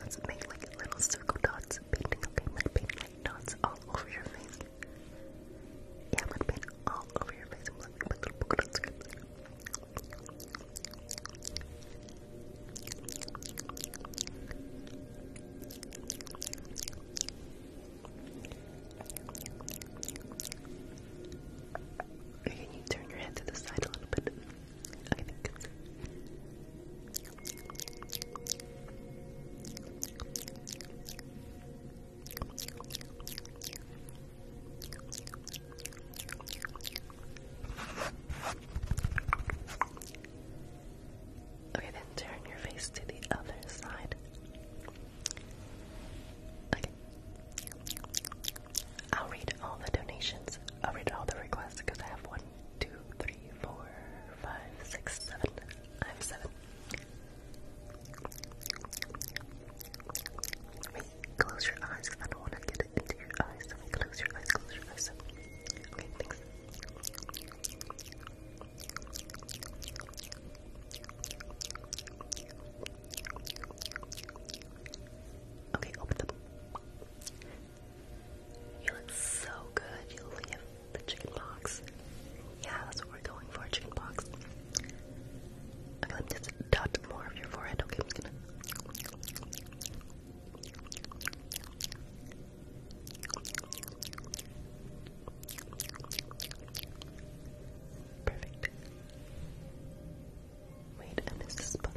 Let's make like little circle dots, painting, okay? I'm going paint like dots all over your face. Yeah, I'm going all over your face. I'm going little polka can you turn your head to the side a little bit? Okay, then turn your face to the other side. Okay. I'll read all the donations. I'll read all the requests because I have one one, two, three, four, five, six, seven. I have seven. close your eyes. I don't want to get it into your eyes. Let me close your eyes. Close your eyes. Okay, open them. You look so good. You look like the chicken box. Yeah, that's what we're going for, chicken box. Okay, let me just dot more of your forehead. Okay, I'm gonna. Perfect. Wait, I missed a spot.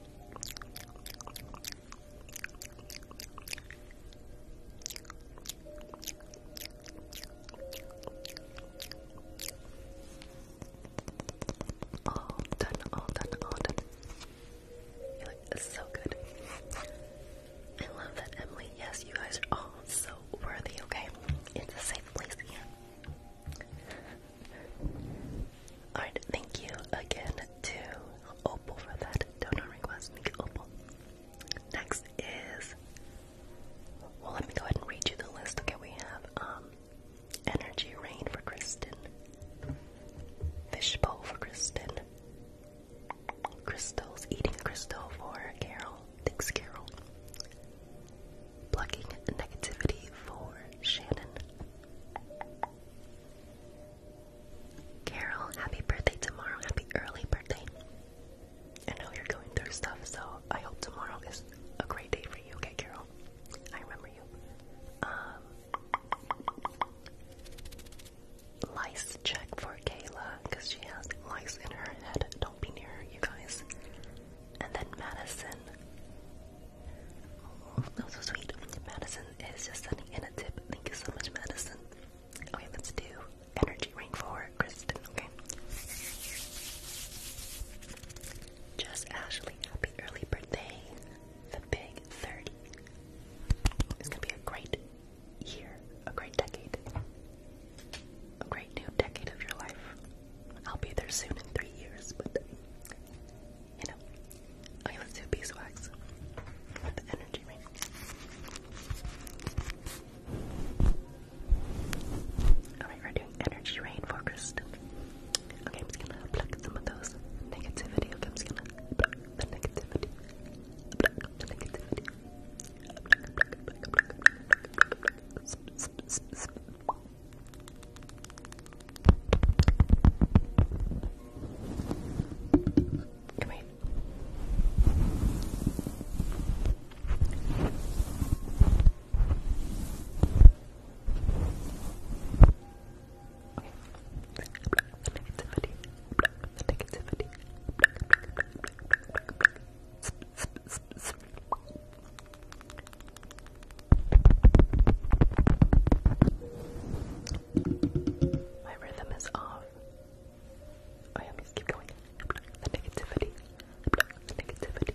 All done, all done, all done. You look so good. I love that, Emily. Yes, you guys are all so worthy, okay? It's a safe place here. Alright, thank you again to Opal for that donor request. Thank you, Opal. Next is well let me go ahead and read you the list. Okay, we have um, Energy Rain for Kristen. Fishbowl for Kristen. Crystals Eating Crystal for Carol. Thanks, Carol. Plugging negativity for Shannon. Carol, happy birthday tomorrow. Happy early birthday. I know you're going through stuff, so I hope tomorrow is a great day for you, okay, Carol? I remember you. Um, lice check for Kayla, because she has lice in her head. Don't be near her, you guys and then Madison. Oh, so sweet. Madison is just sending in a tip. Thank you so much, Madison. Okay, oh, let's do energy ring for Kristen, okay? Just Ashley, happy early birthday. The big 30. It's gonna be a great year, a great decade, a great new decade of your life. I'll be there soon in three years, but you know. Okay, let's do beeswax. energy ring. Alright, we're doing energy rain for Kristen. Okay, I'm just gonna pluck some of those negativity. I'm just gonna pluck the negativity. Pluck the negativity. Come here. Okay. The negativity. The negativity. My rhythm is off. Oh yeah, please keep going. The negativity. The Negativity.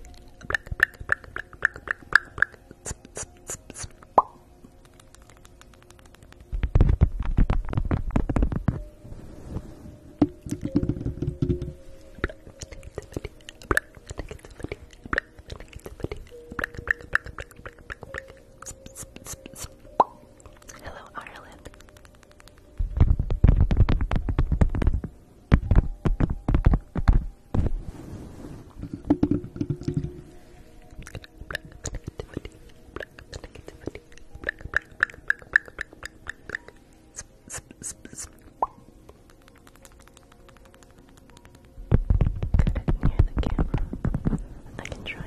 Hello, Ireland it near the camera. I can try. Thank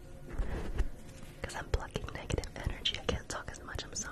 Because I'm plucking negative energy. I can't talk as much, I'm sorry.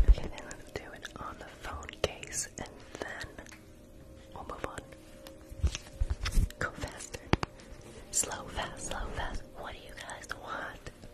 Okay, then let's do it on the phone case and then we'll move on. Go faster. Slow, fast, slow, fast. What do you guys want?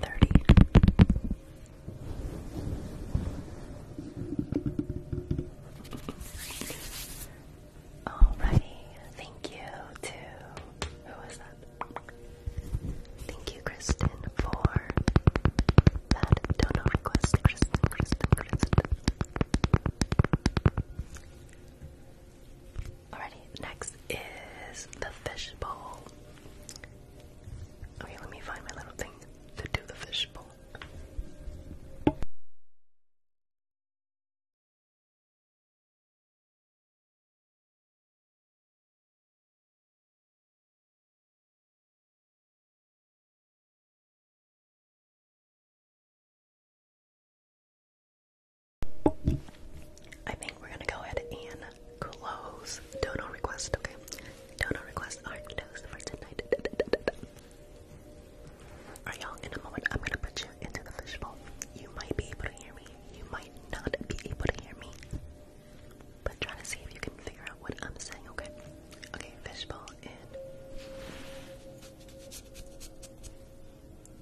Thirty. Alrighty, thank you to who was that? Thank you, Kristen, for that donor request. Kristen, Kristen, Kristen. Alrighty, next is the fishbowl. Okay, let me find my little thing to do the fishbowl. I think we're gonna go ahead and close dono request, okay? Dono requests are closed for tonight. Are y'all in a moment? I'm gonna put you into the fishbowl. You might be able to hear me. You might not be able to hear me. But try to see if you can figure out what I'm saying, okay? Okay, fishbowl in.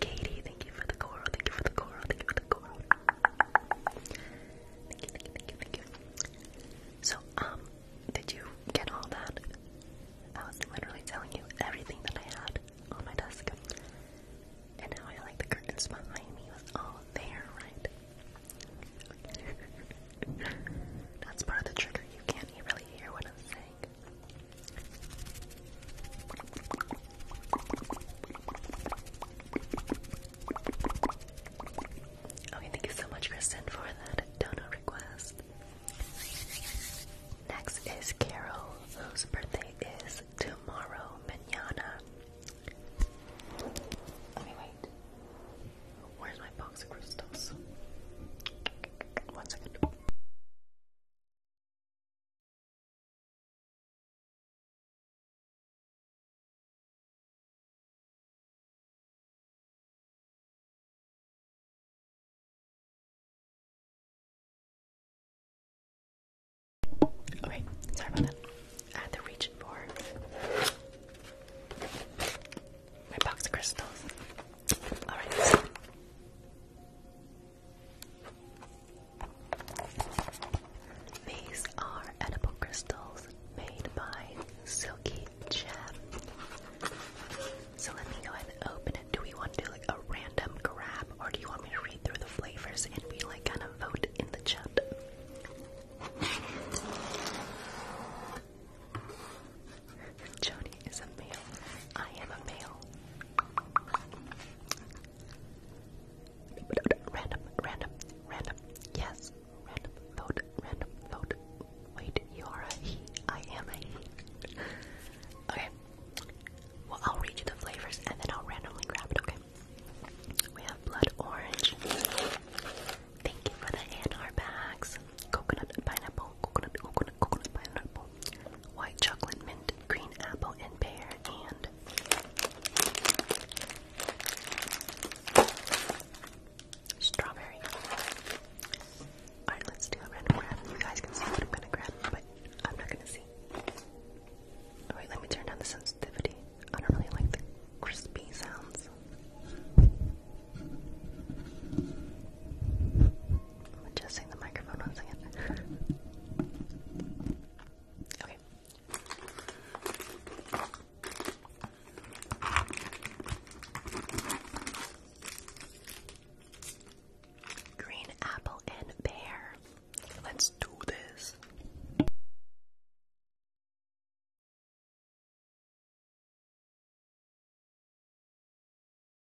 Katie, thank you for the coral, thank you for the coral, thank you for the coral. Thank you, thank you, thank you, So, um, did you get all that? I was literally telling you everything that I had on my desk. And now I like the curtains behind me was all there, right? That's part of the trigger. You can't really hear what I'm saying. Okay, thank you so much, Kristen, for that donut request. Next is Carol, whose birthday is tomorrow, manana. wait. Where's my box of crystals? One second. Okay, sorry about that. I had to for my box of crystals. Alright. These are edible crystals made by Silky Gem. So let me go ahead and open it. Do we want to like a random grab or do you want me to read through the flavors and we like kind of vote in the chat? Joni is a male. I am a male. Random, random, random. Yes, random vote, random vote. Wait, you are a he. I am a he. Okay. Well, I'll read you the flavors and then I'll randomly grab it, okay? We have blood orange. Thank you for the AR bags. Coconut pineapple, coconut, coconut, coconut pineapple white chocolate, mint, green apple, and pear, and strawberry. Alright, let's do a random grab. You guys can see what I'm gonna grab, but I'm not gonna see. Alright, let me turn down the sensitivity. I don't really like the crispy sounds. I'm adjusting the microphone once again. okay. Green apple and pear. Let's do this.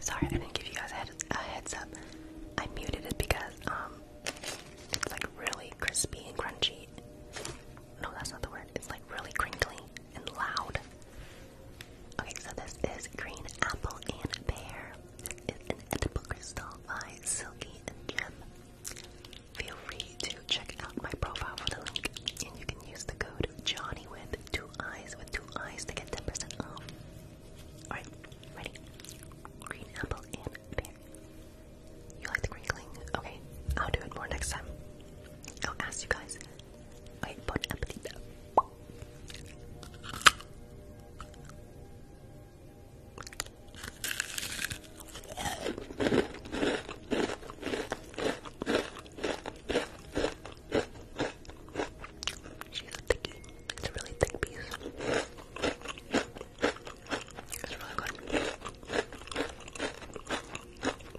Sorry, I didn't give you guys a, heads up. I muted it because um, it's like really crispy and crunchy. No, that's not the word. It's like really crinkly and loud. Okay, so this is green apple and pear. This an edible crystal Silky and Gem. Feel free to check out my profile for the link, and you can use the code Johnny with two eyes with two eyes to get 10% off. Alright, ready? Green apple and pear. You like the green crinkling? Okay, I'll do it more next time. I'll ask you guys. Okay, apple appetit. She's a thicky. It's a really thick piece. It's really good.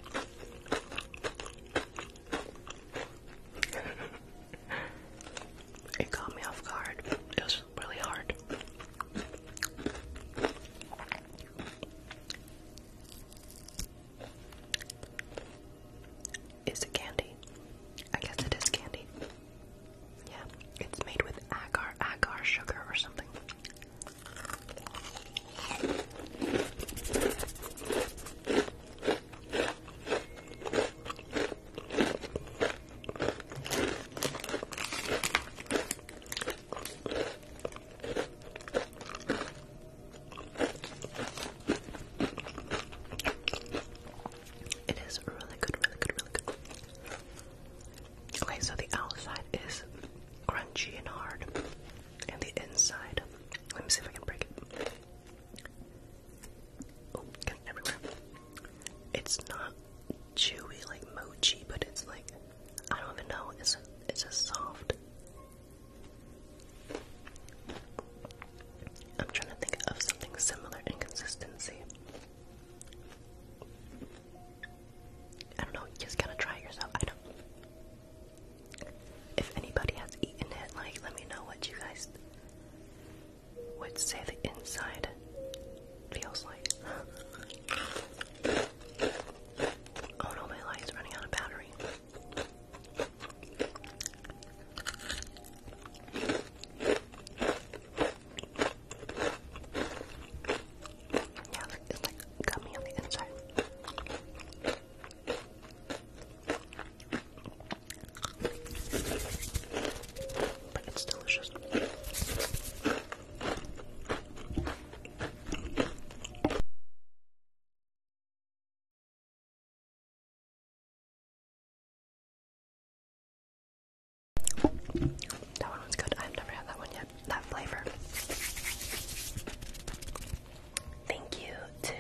it caught me off guard. It was really hard. Is it candy? I guess it is candy. Yeah, it's made with agar agar sugar or something. It is really good, really good, really good. Okay, so the outside is crunchy and hard, and the inside, let me see if I can break it. Oh, got everywhere. It's not chewy like mochi, but it's like I don't even know. It's it's a soft I'm trying to think of something similar in consistency. I don't know, just gotta try yourself. I do If anybody has eaten it, like, let me know what you guys would say the inside feels like. Oh no, my light's running out of battery. Yeah, it's like gummy on the inside. But it's delicious. That one was good. I've never had that one yet. That flavor. Thank you to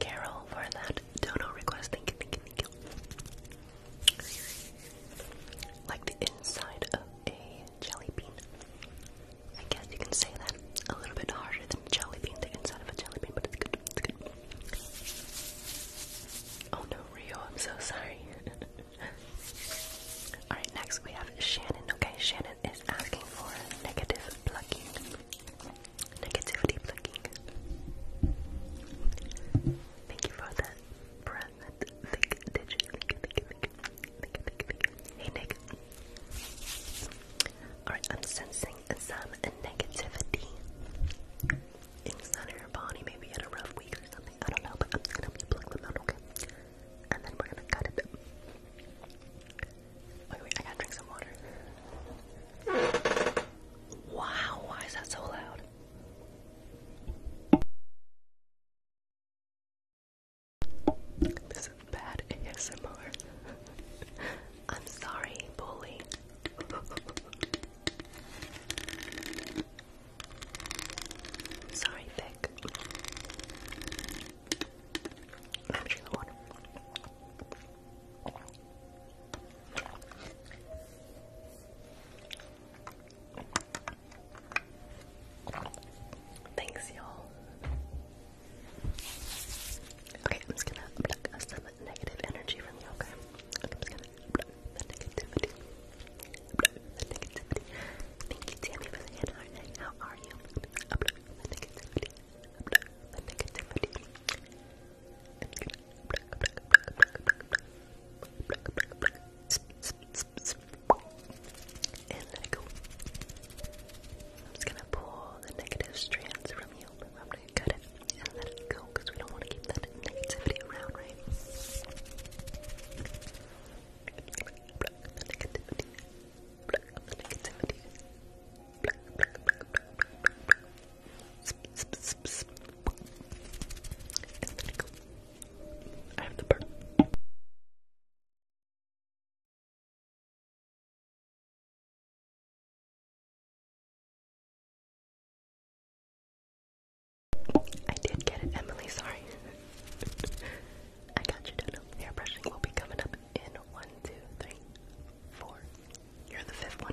Carol for that dono request. Like the inside of a jelly bean. I guess you can say that a little bit harder than jelly bean, the inside of a jelly bean, but it's good. It's good. Oh no, Rio, I'm so sorry. Alright, next we have Shannon. Okay, Shannon is asking for negative plucking. Negativity plucking. Thank you for that present. Hey, Nick. Alright, I'm sensing some negativity inside of your body. Maybe had a rough week or something. I don't know, but I'm just gonna help you them out, okay? And then we're gonna cut it. Wait, wait, I gotta drink some water. Wow, why is that so loud? This is bad ASMR. I'm sorry, bully. sorry, Vic. I'm drinking water. Thanks, y'all. Okay, I'm just gonna pluck some negative energy from you, okay? I'm just gonna pluck the negativity. the negativity. the hand How are you? the negativity. the negativity. I'm and let it go. I'm just gonna pull the negative strands from you. I'm gonna cut it and let it go because we don't want to keep that negativity around, right? negativity. negativity. Block, block, block, block, block, block. Sp, and let it go. I have the burn. I did get it, Emily. Sorry. I got you done. Hair brushing will be coming up in one, two, three, four. You're the fifth one.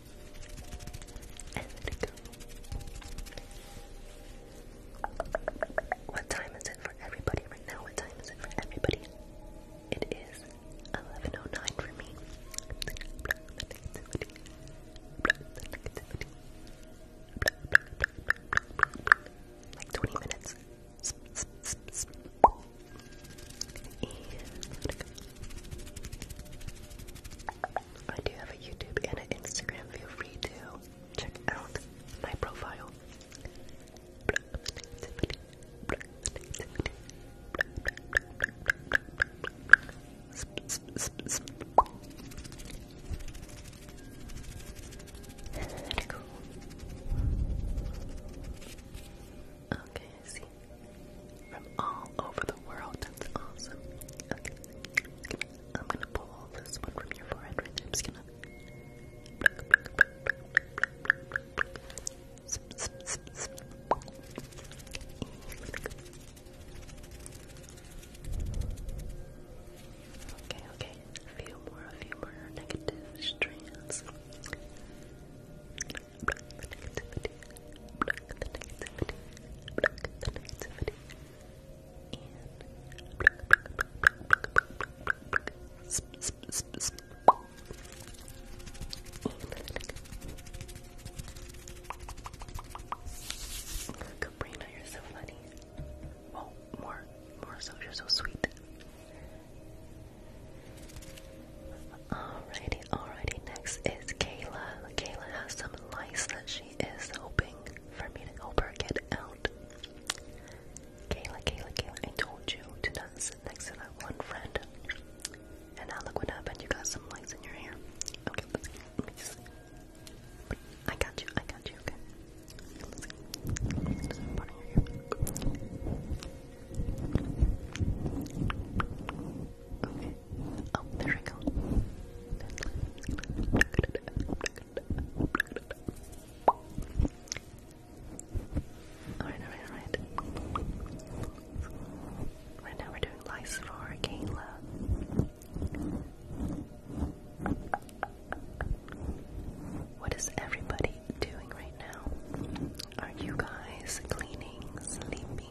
What time is it for everybody right now? What time is it for everybody? It is 11.09 for me. Like 20 minutes. I do have a YouTube and an Instagram. Feel free to check out my profile. Cool. Okay from all over the world. That's awesome. Okay. I'm gonna pull this one from your forehead right there. Okay, okay. A few more, a few more negative strands block you're so funny. Oh, more, more so, you're so sweet. Alrighty, alrighty. Next is Kayla. Kayla has some lice that she is hoping for me to help her get out. Kayla, Kayla, Kayla, I told you to not sit next to that one friend. And now look what happened. You got some lice in your hair. Okay, let's let me just. I got you, I got you, okay. Let's see. Let's just put in your hair. Okay. Oh, alright, alright, alright. Right now we're doing lice for Kayla. What is everybody doing right now? Are you guys cleaning, sleeping,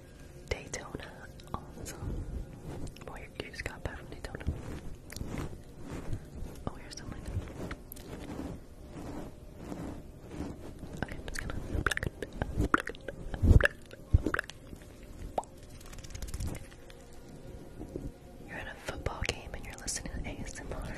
Daytona also. Boy, you just got back from Daytona. Oh, here's something. You're at a football game and you're listening to ASMR.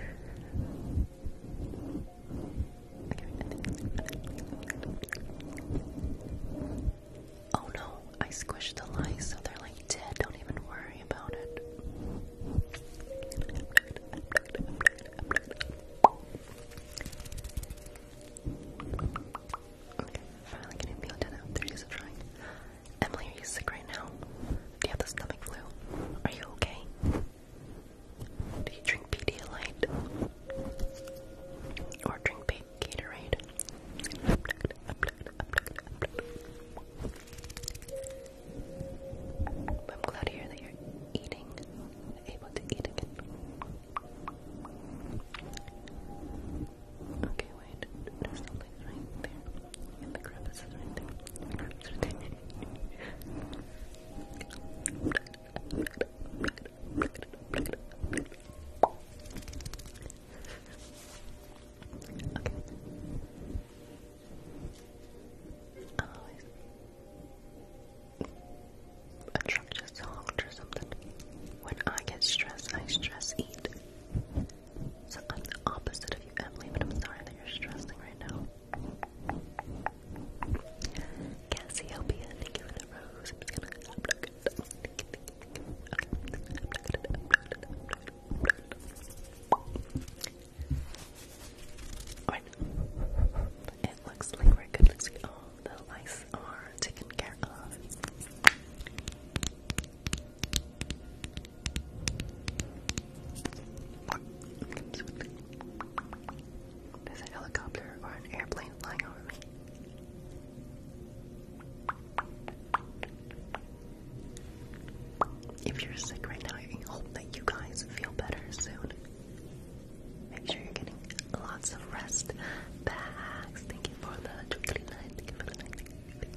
Oh no, I squished the lice so they're like dead. Don't even worry about it. Okay, finally getting feel dead out. There she's trying. Emily, are you sick right now? Do you have the stomach flu? Are you okay? Do you drink Pedialyte? Or drink Gatorade? I'm glad to hear that you're eating, able to eat again. Okay, wait, there's something right there. And the crevice is right there. I'll just a or something. When I get stressed, I stress eat. So I'm the opposite of you, Emily, but I'm sorry that you're stressing right now. Cassiopeia, thank you for the rose. gonna unplug it. Okay. It looks like we're good. Looks like all the lice are taken care of. There's a helicopter or an airplane flying over me. If you're sick right now, I hope that you guys feel better soon. Make sure you're getting lots of rest. Bags, thank you for the twinkly night. Thank you for the night.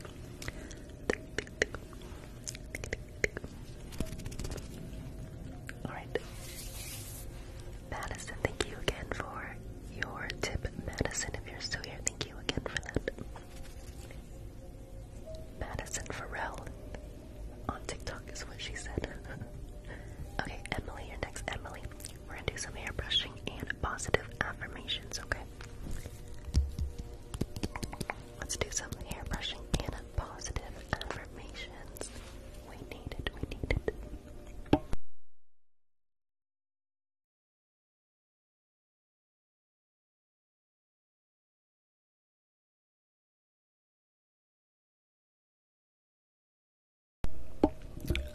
Alright. Madison, thank you again for your tip. Madison, if you're still here, thank you again for that. Madison Farrell on TikTok is what she said. okay, Emily, you're next. Emily, we're gonna do some hair brushing and positive affirmations, okay? Let's do some hair brushing and positive affirmations. We need it, we need it.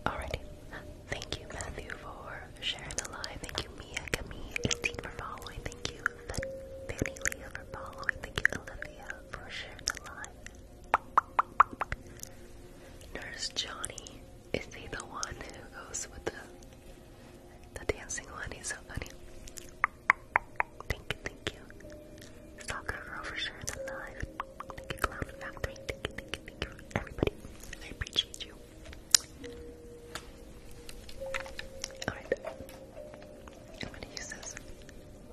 Alrighty. Thank you, Matthew, for sharing the live. Thank you, Mia, Camille, 18 for following. Thank you, Fanny Leah for following. Thank you, Olivia, for sharing the live. Nurse Johnny. Is he the one who goes with the the dancing one? He's so funny. Thank you, thank you. Soccer girl for sure is alive. Thank you, Clown Factory. Thank you, thank you, thank you. Everybody, I appreciate you. Alright. I'm gonna use this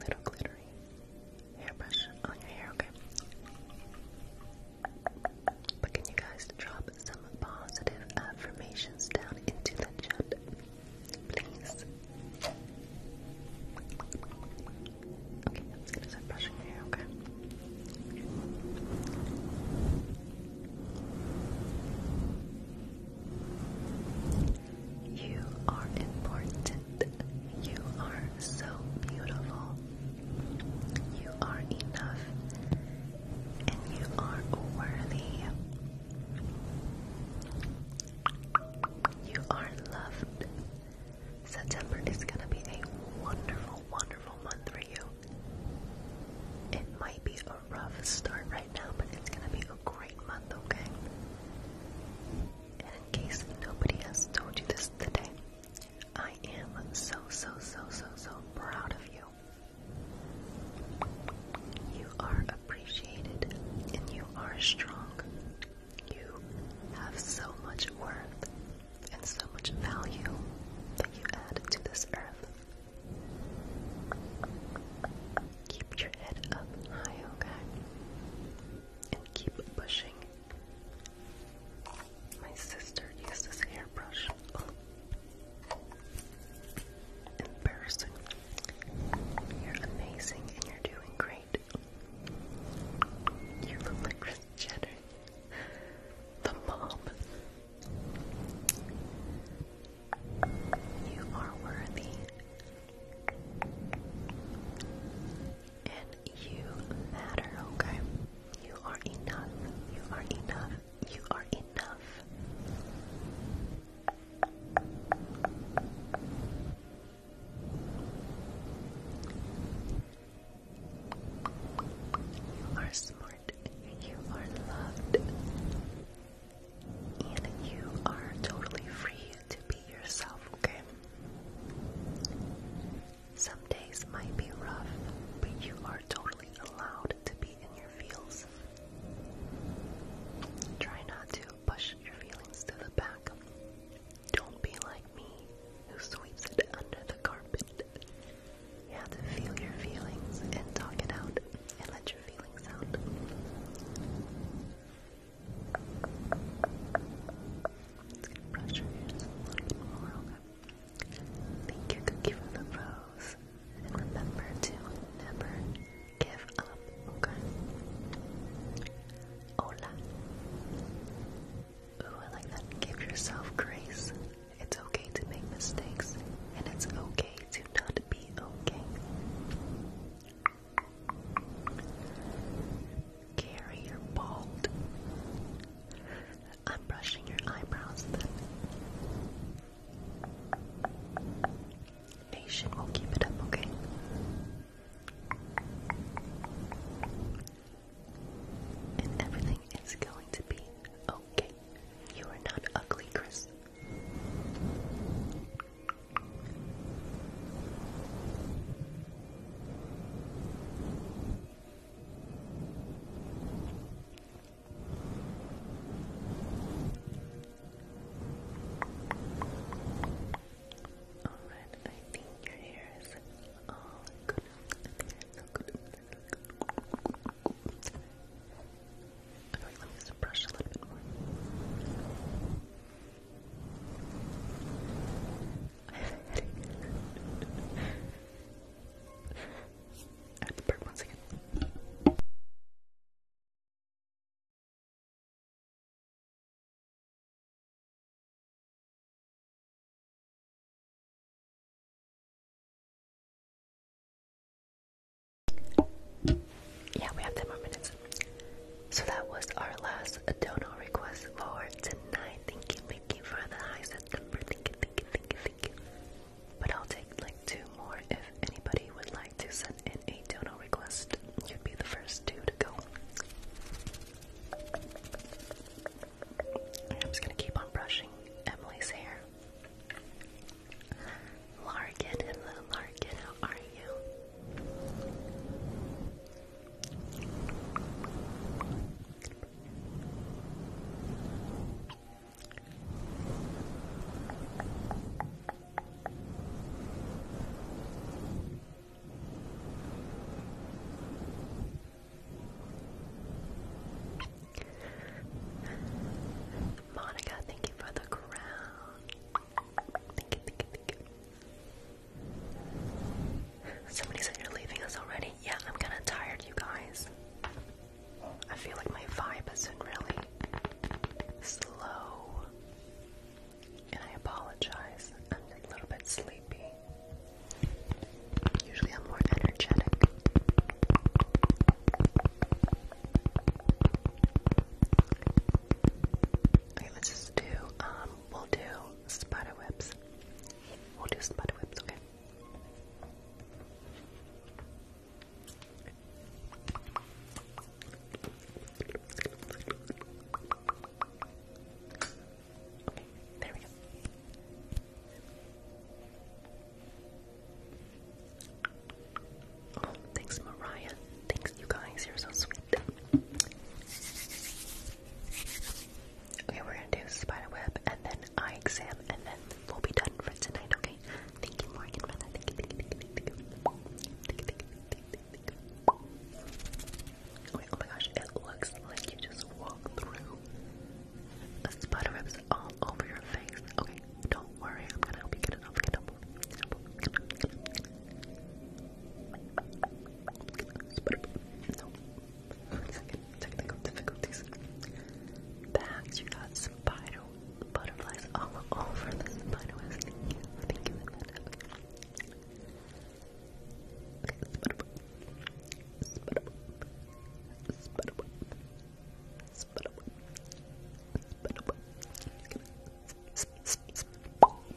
little glitter hairbrush on your hair, okay? But can you guys drop some positive affirmations down into the chat? Please. Okay, I'm just gonna start brushing your hair, okay? You are important. You are so beautiful. You are enough. And you are worthy. You are loved. September is going to be a wonderful, wonderful month for you. It might be a rough start right now, but it's going to be a great month, okay? And in case nobody has told you this today, I am so, so, so, so, so proud of you. You are appreciated and you are strong. You have so much worth and so much value that you add to this earth. Keep your head up high, okay? And keep pushing my sister uses hairbrush. Embarrassing. You're amazing and you're doing great. You look like Chris Jenner. The mom. You are worthy and you matter, okay? You are enough. You are enough. You are enough. You are smart. You are loved. And you are totally free to be yourself, okay? Some days might be rough, but you are totally allowed to be in your feels. Try not to push your feelings to the back. Don't be like me, who sweeps it under the carpet. You have to feel your feelings and talk it out and let your feelings out. Thank you, for the rose. And remember to never give up, okay? Hola. Ooh, I like that. Give yourself grace. It's okay to make mistakes, and it's okay to not be okay. Gary, you're I'm brushing your eyebrows Nation will keep it up, okay? everything is going to be okay. You are not ugly, Chris. Alright, I think your hair is all good. So good. Okay, let me just brush a little bit more. Yeah, we have 10 more minutes. So that was our last donor request for tonight. Thank you Thank for the high September. Thank you, thank you, thank But I'll take like two more. If anybody would like to send in a dono request, you'd be the first two to go. I'm just gonna keep on brushing Emily's hair. Larkin, hello Larkin, are you? Monica, thank you for the crown. thank you. Somebody said you're leaving us already. Yeah, I'm kind of tired, you guys. I feel like my vibe isn't really slow. And I apologize. I'm a little bit sleepy. Usually I'm more energetic. Okay, let's just do, um, we'll do spider webs. We'll do some butter whips, okay? Okay, there we go. Oh, thanks, Mariah. Thanks, you guys. You're so sweet. Okay, we're gonna do spider web and then eye exam, and then we'll be done for tonight. Okay. Thank you, Morgan. Thank you, thank you, oh my gosh, it looks like you just walked through the spider webs all over your face. Okay, don't worry, I'm gonna help you get technical difficulties. Perhaps you got spider butterflies all over the spider webs. Thank you, thank you for that. Okay, spider spider spider spider spider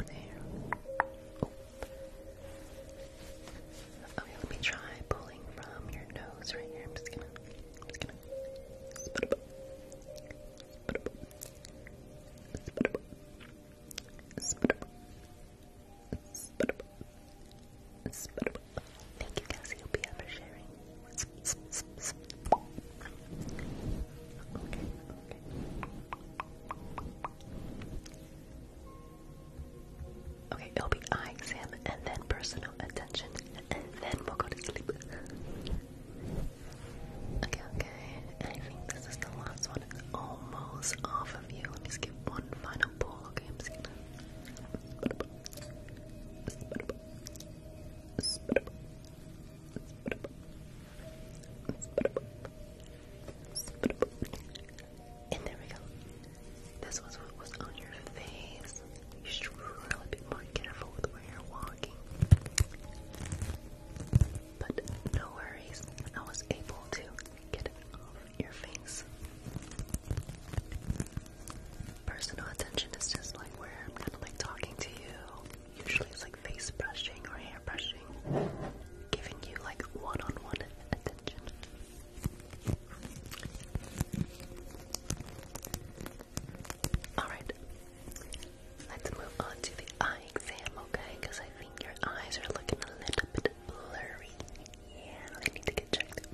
Okay, let me try pulling from your nose right here. I'm just gonna, Thank you, Cassiopeia, for sharing. Okay, it'll be eye exam and then personal attention, and then we'll go to sleep. Okay, okay. I think this is the last one. It's almost off of you. Let me just one final pull. Okay, I'm just and there we go. This was what was on your face. You should really be more careful with where you're walking. But no worries, I was able to get it off your face. Personal attention is just like where I'm kind of like talking to you Usually it's like face brushing or hair brushing, giving you like one on one attention. Alright, let's move on to the eye exam, okay? Because I think your eyes are looking a little bit blurry. Yeah, they need to get checked.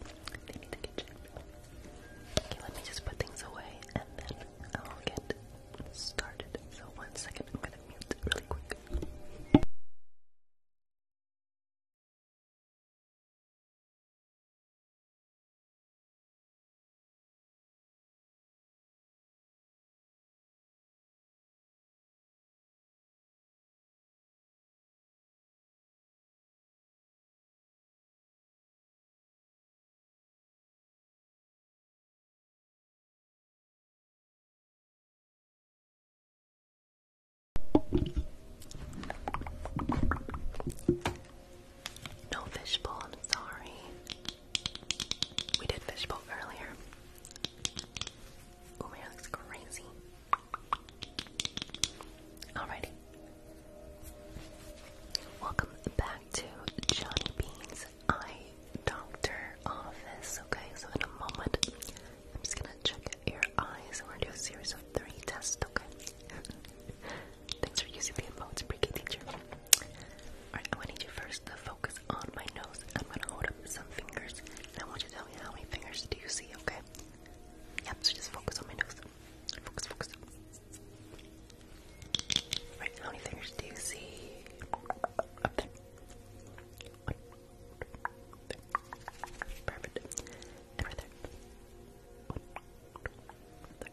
They need to get checked. Okay, let me just put things away and then I'll get started. So one second, I'm gonna mute really quick. No fishbowl, I'm sorry. We did fishbowl earlier. Oh, my hair looks crazy. Alrighty. Welcome back to Johnny Beans eye doctor office. Okay, so in a moment, I'm just gonna check your eyes and we gonna do a series of three tests. Okay. Thanks for using the emotes, teacher. Alright, I want you first to focus on my nose. I'm gonna hold up some fingers, and I want you to tell me how many fingers do you see, okay? Yep, so just focus on my nose. Focus, focus. Right, how many fingers do you see? Up there. Perfect. And right there. One, three,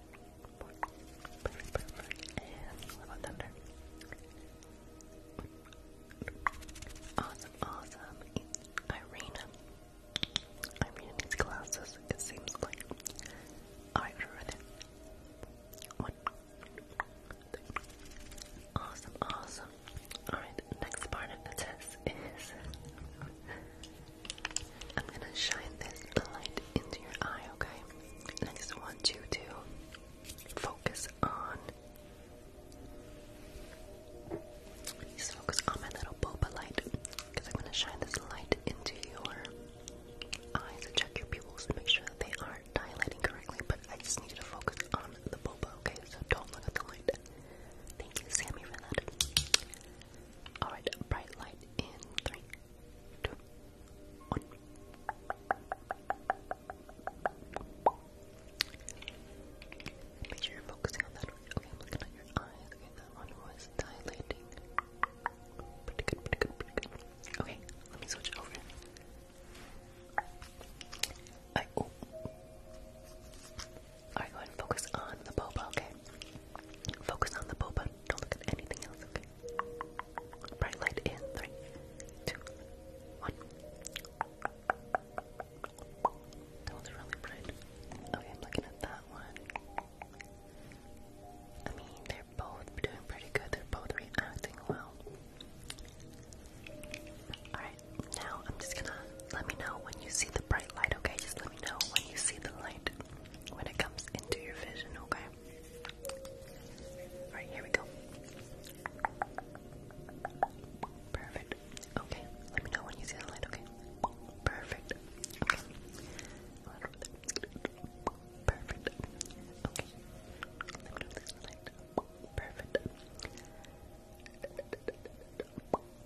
four. Perfect, perfect. And what about thunder? Awesome, awesome. Irina. Irina needs glasses, it seems like. Alright, right there. One, Awesome, awesome. Alright, next part of the test is I'm gonna shine this light into your eye, okay? I just want you to focus on just focus on my little boba light. Because I'm gonna shine this light into your eyes and check your pupils to make sure that they are are dilating correctly, but I just need you to focus on the boba, okay? So don't look at the light. Thank you, Sammy, for that. Alright, bright light in three, two, one. Make sure you're focusing on that Okay, I'm looking at your eyes. Okay, that one was dilating. Pretty good, pretty good, pretty good. Okay, let me switch over. Alright, go and focus on the boba, okay? Focus on the boba. Don't look at anything else, okay? Bright light in three, two, one. That one's really bright. Okay, I'm looking at that one. I mean, they're both doing pretty good. They're both reacting well. Alright, now I'm just gonna let me know when you see the bright light, okay? Just let me know when you see the light when it comes into your vision, okay? Alright, here we go. Perfect. Okay, let me know when you see the light, okay? Perfect. Okay. Perfect. Okay. Let me know if light. Perfect.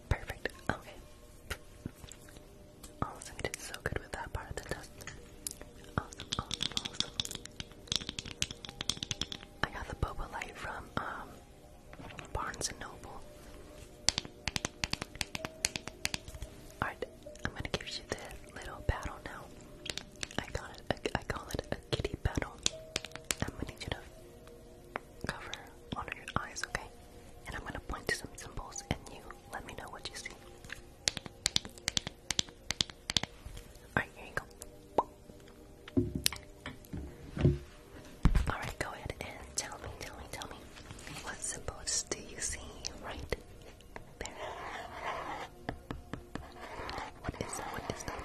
Perfect. Okay. Awesome. You so good with that part of the test. Awesome, awesome, awesome. I got the boba light from um Barnes and Noble. Alright, I'm gonna give you the little paddle now. I call it a kitty battle. I'm gonna need you to cover one of your eyes, okay? And I'm gonna point to some symbols, and you let me know what you see. Alright, here you go. Alright, go ahead and tell me, tell me, tell me. What symbols do you see right what is that? What is that?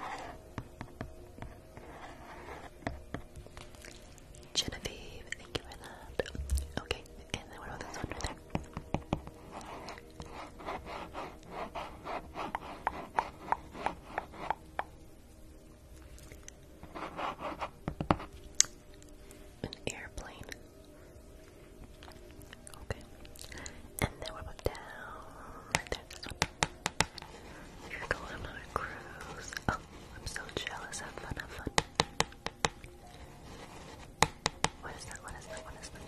Genevieve, thank you for that. Okay, and then what about this one right there? An airplane. Okay. And then what about down? Right there, you're going on a cruise. Oh, I'm so jealous. Have fun, have fun. What is that? What is that? What is that?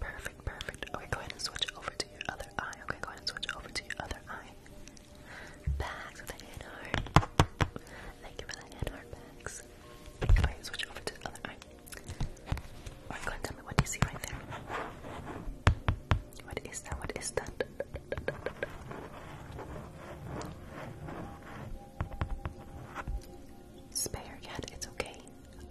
Perfect, perfect. Okay, go ahead and switch over to your other eye. Okay, go ahead and switch over to your other eye. Bags with a hand heart. Thank you for the hand heart bags. Go ahead and switch over to the other eye. Or tell me what you see right there. What is that? What is that? Spare yet, it's okay.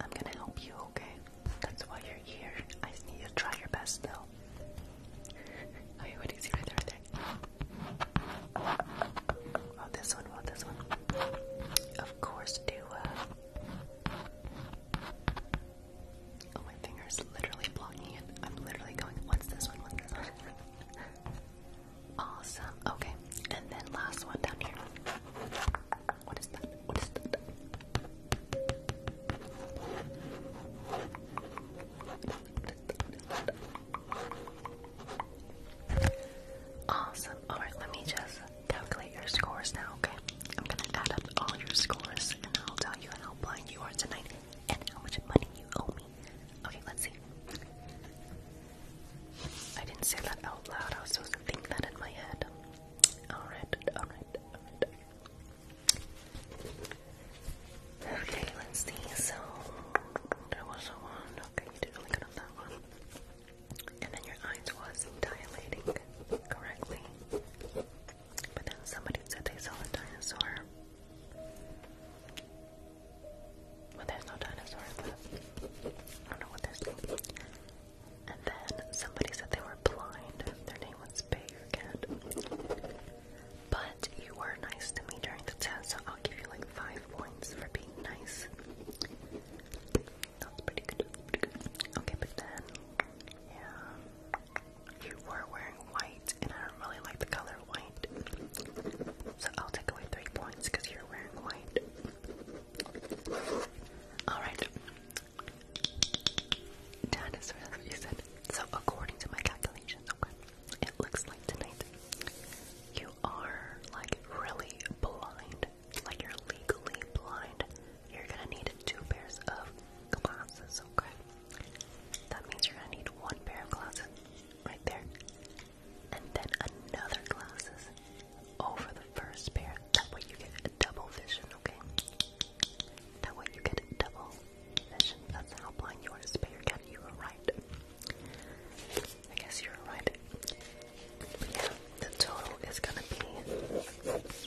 I'm gonna help you, okay? That's why you're here. I just need you to try your best though. Okay, what do you see right there? there? Oh, this one, well, this one. Of course, do uh, Oh, my finger's literally blocking it. I'm literally going, what's this one? What's this one? awesome. Okay. And then last one down here. What is that? What is that? Awesome. Alright, let me just calculate your scores now, okay? I'm gonna add up all your scores and I'll tell you how blind you are tonight and how much money you owe me. Okay, let's see. I didn't say that out loud, I was supposed that in my head. Alright, alright, Okay, let's see. So, there was a one. Okay, you did one and then your eyes was not dilating correctly. But then somebody said they saw a dinosaur. but there's no dinosaur I don't know what there's. And then somebody said they were blind. Their name was Cat. But you were nice to me during the test, so I'll give you like five points for being nice. That's pretty good. Okay, but then, yeah, you were wearing white, and I don't really like the color white. So I'll take away three points because you're wearing white. All right. Dinosaur, that's what you said. So according to my calculations, okay, it looks like tonight you are like really blind like you're legally blind, you're gonna need two pairs of glasses, okay? That means you're gonna need one pair of glasses right there, and then another glasses over the first pair. That way you get a double vision, okay? That way you get a double vision. That's how blind you are to spare cat. You were right. I guess you were right. yeah, the total is gonna be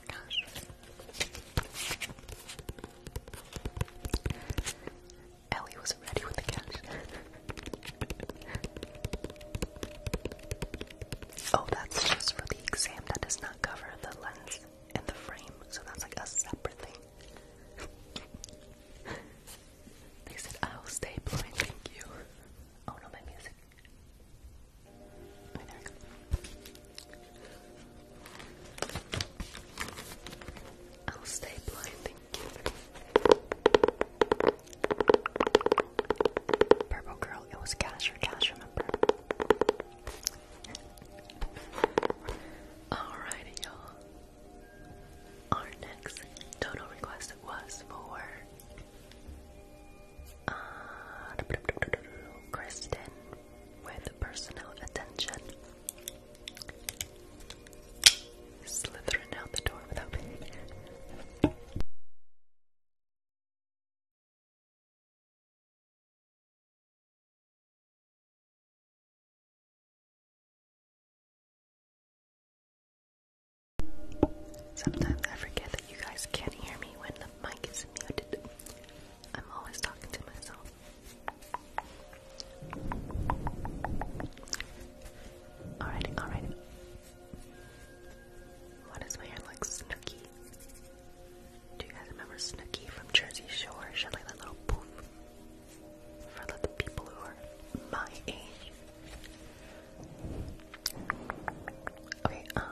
Oh Ellie was not ready with the cash. oh, that's just for the exam. That does not cover the lens and the frame, so that's like a separate thing. they said, I'll oh, stay blind, thank you. Oh no, my music. I'll stay blind, thank you. Purple girl, it was cash or cash, remember? Alrighty, y'all. Our next total request was for uh, Kristen with personal attention. Slithering out the door without me. Sometimes I forget that you guys can't hear me when the mic is muted. I'm always talking to myself. Alrighty, alrighty. What is my hair like Snooki? Do you guys remember Snooki from Jersey Shore? She like that little poof. For the people who are my age. Okay, um,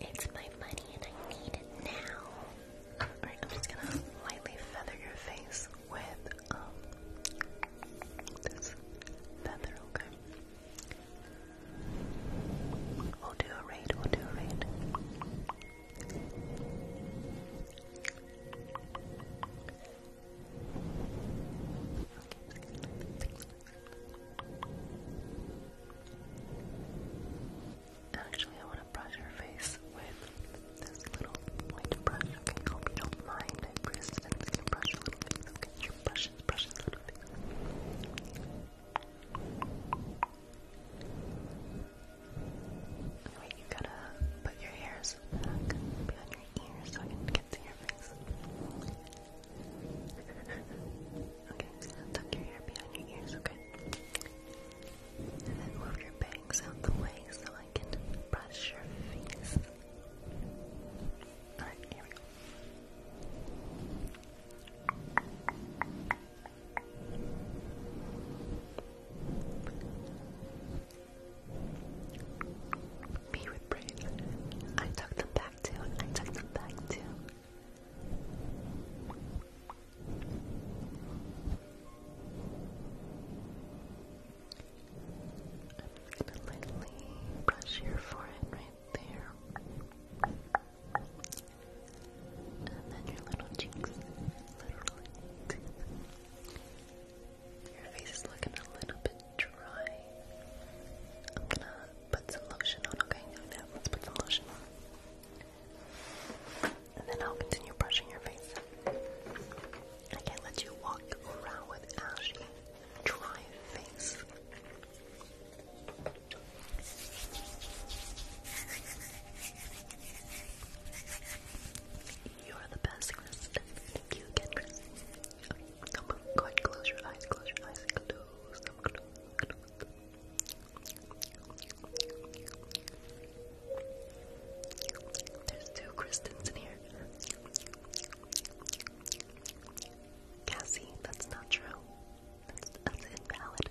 it's my money and I need it now. Alright, I'm just gonna lightly feather your face with um, this feather, okay? We'll do a raid, we'll do a raid. Actually, I want to brush your face with this little white brush. Okay, I hope you don't mind. I pressed I'm just gonna brush a little bit. Okay, your brushes, brushes a little bit. Wait, you gotta put your hairs back behind so I can get to your face. okay, tuck your hair behind your ears, okay? And then move your bangs out the way so I can brush your face. Alright, here we go. Be brave. I took them back too. I took them back too. I'm gonna lightly brush your forehead right there. And then your little cheeks. Little your face is looking a little bit dry. I'm gonna put some lotion on, okay? Now let's put some lotion on. And then I'll continue brushing your face. I can't let you walk around with ashy, dry face. You're the best, Kristen. Thank you again, Kristen. Now, go close your eyes, close your eyes, close There's two Kristens in here. Cassie, that's not true. that's invalid.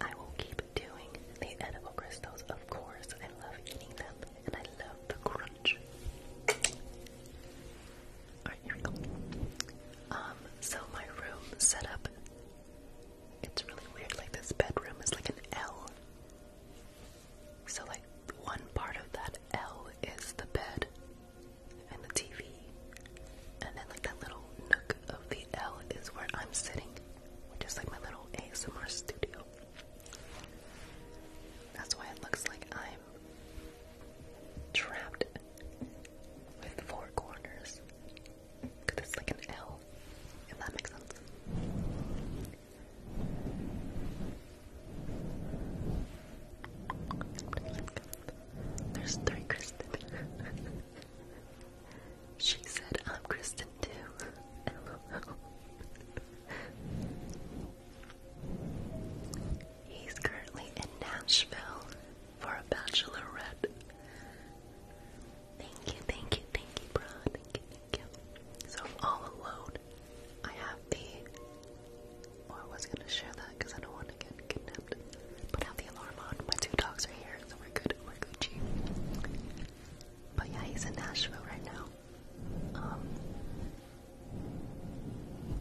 I will keep doing the edible crystals, of course. I love eating them and I love the crunch. Alright, here we go. Um, so my room setup it's really weird, like this bedroom is like an L. So like one part of that L is the bed and the TV and then like that little nook of the L is where I'm sitting, which is like my little ASMR studio. That's why it looks like I'm trapped with four corners. it's like an L, if that makes sense. There's three Kristen. She said, I'm Kristen too. He's currently in Nashville for a bachelorette. Thank you, thank you, thank you, bro. Thank you, So I'm all alone. I have the. I was gonna share that because I don't want to get kidnapped. But I have the alarm on. My two dogs are here, so we're good. We're Gucci. But yeah, he's in Nashville right now. Um,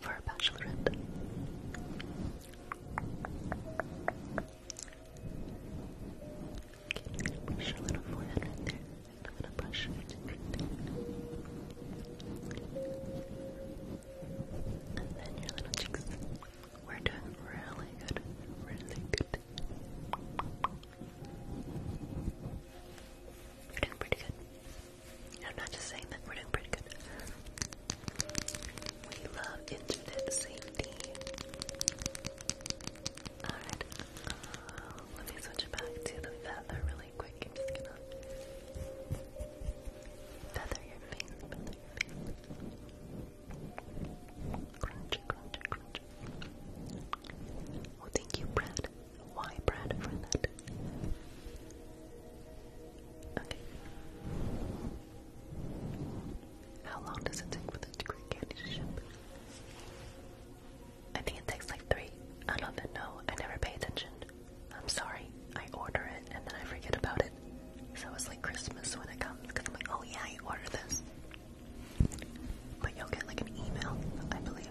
for a bachelorette. Okay, brush your little forehead right there. i brush And then your little cheeks. We're doing really good, really good. We're doing pretty good. I'm not just saying that, we're doing pretty good. We love internet safety. Alright, uh, let me switch back to the feather really quick. just gonna feather your face. Crunchy, crunchy, crunchy. Oh, thank you, Brad. Why, Brad, for that? Okay. How long does it take for the green candy to I think it takes like three. I don't even know. I never pay attention. I'm sorry. I order it and then I forget about it. So it's like Christmas when it comes because I'm like, oh yeah, you order this. But you'll get like an email, I believe.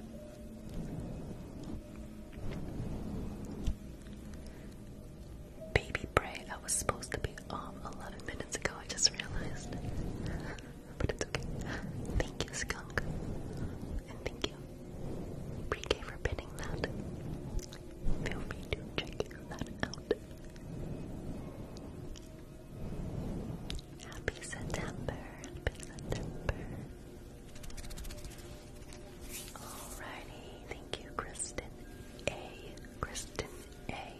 Baby Bray, I was supposed to be off 11 minutes ago, I just realized. but it's okay. Thank you, Skunk. And thank you, pre for pinning that. Feel free to check that out. Happy September, happy September. Alrighty, thank you, Kristen A. Kristen A.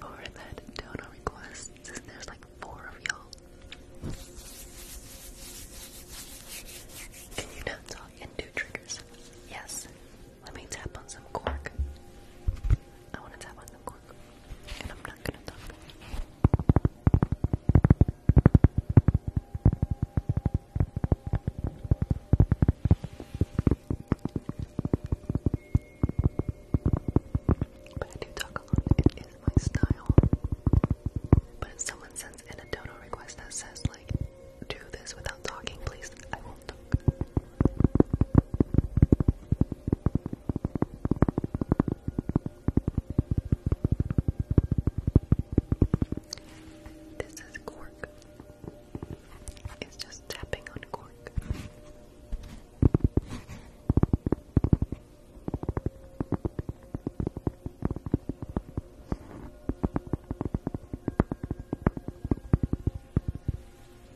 for that donor request. There's like four of y'all. Can you not talk and triggers? Yes. Let me tap on some cork. I want to tap on the cork, and I'm not gonna talk. But I do talk a lot. It is my style. But if someone sends an a dono request that says like, do this without talking, please. I won't talk. This is cork. It's just tapping on cork.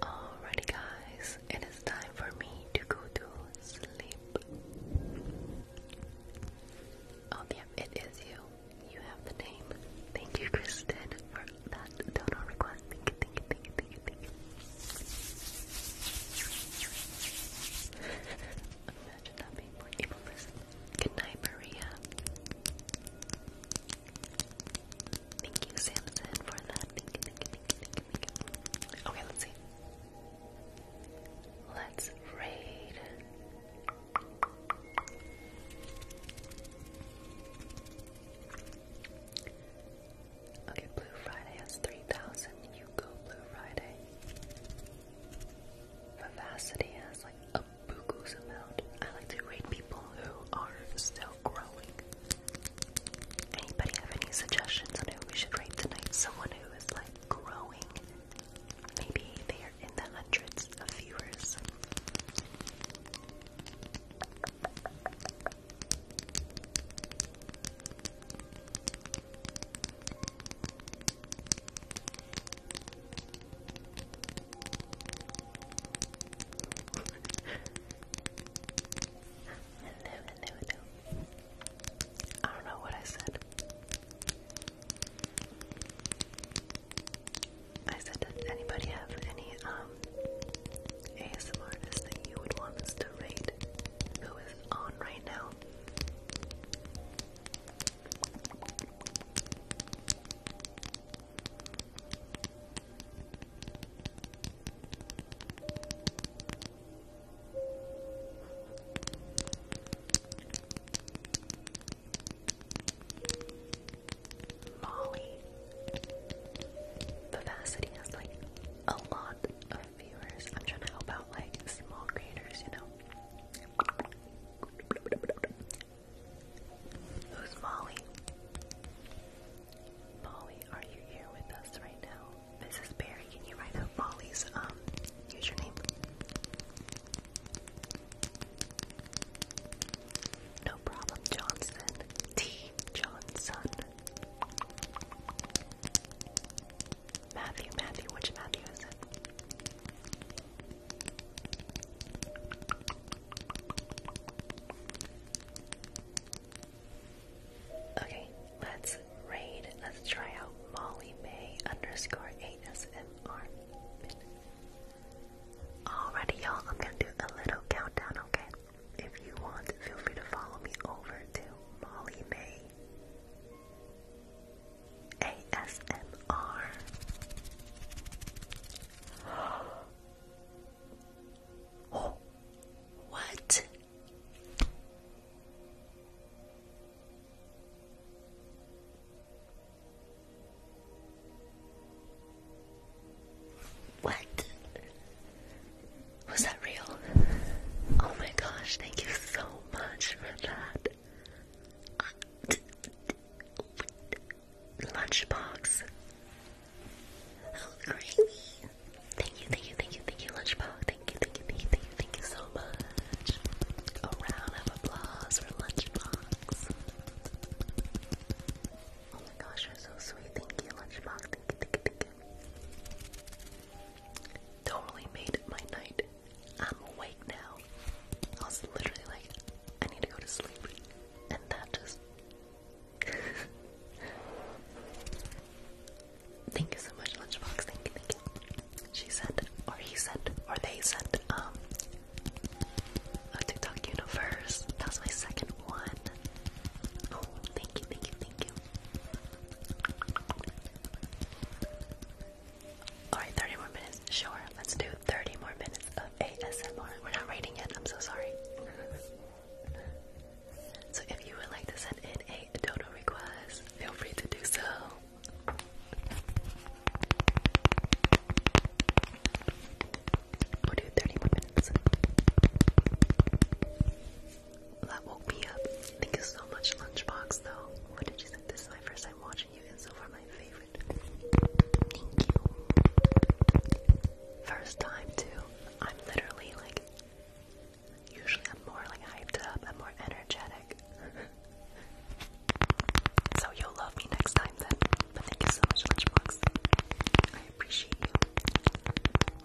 Alrighty, guys, it is time for me to go to sleep. Oh, yeah, it is you. You have the name. Thank you, Kristen, for that donor request lot. Good night, Maria. Thank you, Samson, for that. Okay, let's see. Let's raid. Okay, Blue Friday has 3,000. You go, Blue Friday. Vivacity has like a boogoo's amount. I like to rate people who are still growing. Anybody have any suggestions on who we should read tonight? Someone who is like growing. Maybe they are in the hundreds of viewers hello, hello, hello. I don't know what I said. I said, anybody have any um um, ASM artist that you would want us to rate who is on right now. Molly Vivacity has like a lot uh, viewers. I'm trying to help out like small creators, you know. Who's Molly? Molly, are you here with us right now? Mrs. Barry, can you write out Molly's um username? No problem, Johnson. T Johnson. Matthew, Matthew, which Matthew is it? Okay, let's raid. Let's try out Molly May underscore ASMR. Alrighty, y'all, I'm gonna do a little countdown, okay? If you want, feel free to follow me over to Molly May ASMR. Oh, what? What? Was that real? Oh my gosh, thank you so much for that. Uh, lunchbox. Oh, crazy. Thank you, thank you, thank you, thank you, Lunchbox. Thank you, thank you, thank you, thank you, thank you so much. A round of applause for Lunchbox. Oh my gosh, you're so sweet. Thank you, Lunchbox. Thank you, thank you, thank you. Totally made my night. I'm awake now. I was literally like, I need to go to sleep. And that just. thank you so much, Lunchbox. Thank you, thank you. She said, or he said, or they said, um, a TikTok universe. That was my second one. Oh, thank you, thank you, Alright, 30 more minutes. Sure, let's do 30 more minutes of ASMR. We're not rating yet. I'm so sorry. so, if you would like to send in a dodo request, feel free to do so. We'll do 30 more minutes. That woke me up. Thank you so much, Lunchbox, though. What did you think? This is my first time watching you, and so far my favorite. Thank you. First time, too. I'm literally like, usually I'm more like hyped up, I'm more energetic. so you'll love me next time, then. But thank you so much, Lunchbox. I appreciate you.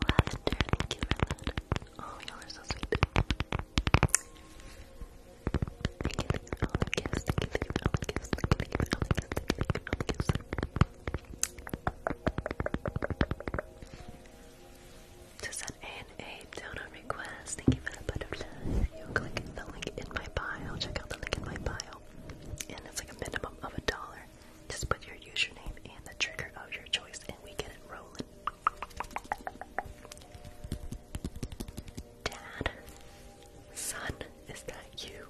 Lavender, thank you for that. Oh, y'all are so sweet. Thank you, thank you for all the gifts. Thank you, thank you for all the gifts. Thank you, thank you for all the gifts. Thank you, A You click the link in my bio. Check out the link in my bio. And it's like a minimum of a dollar. Just put your username and the trigger of your choice, and we get it rolling. Dad, son, is that you?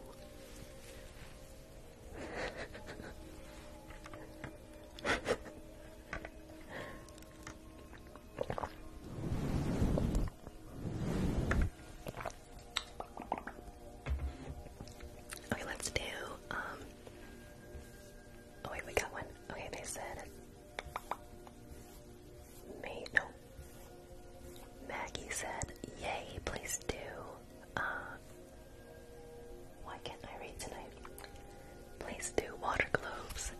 okay, let's do um, Oh wait, we got one. Okay, they said May no. Maggie said, Yay, please do. Uh, why can't I read tonight? Please do water globes.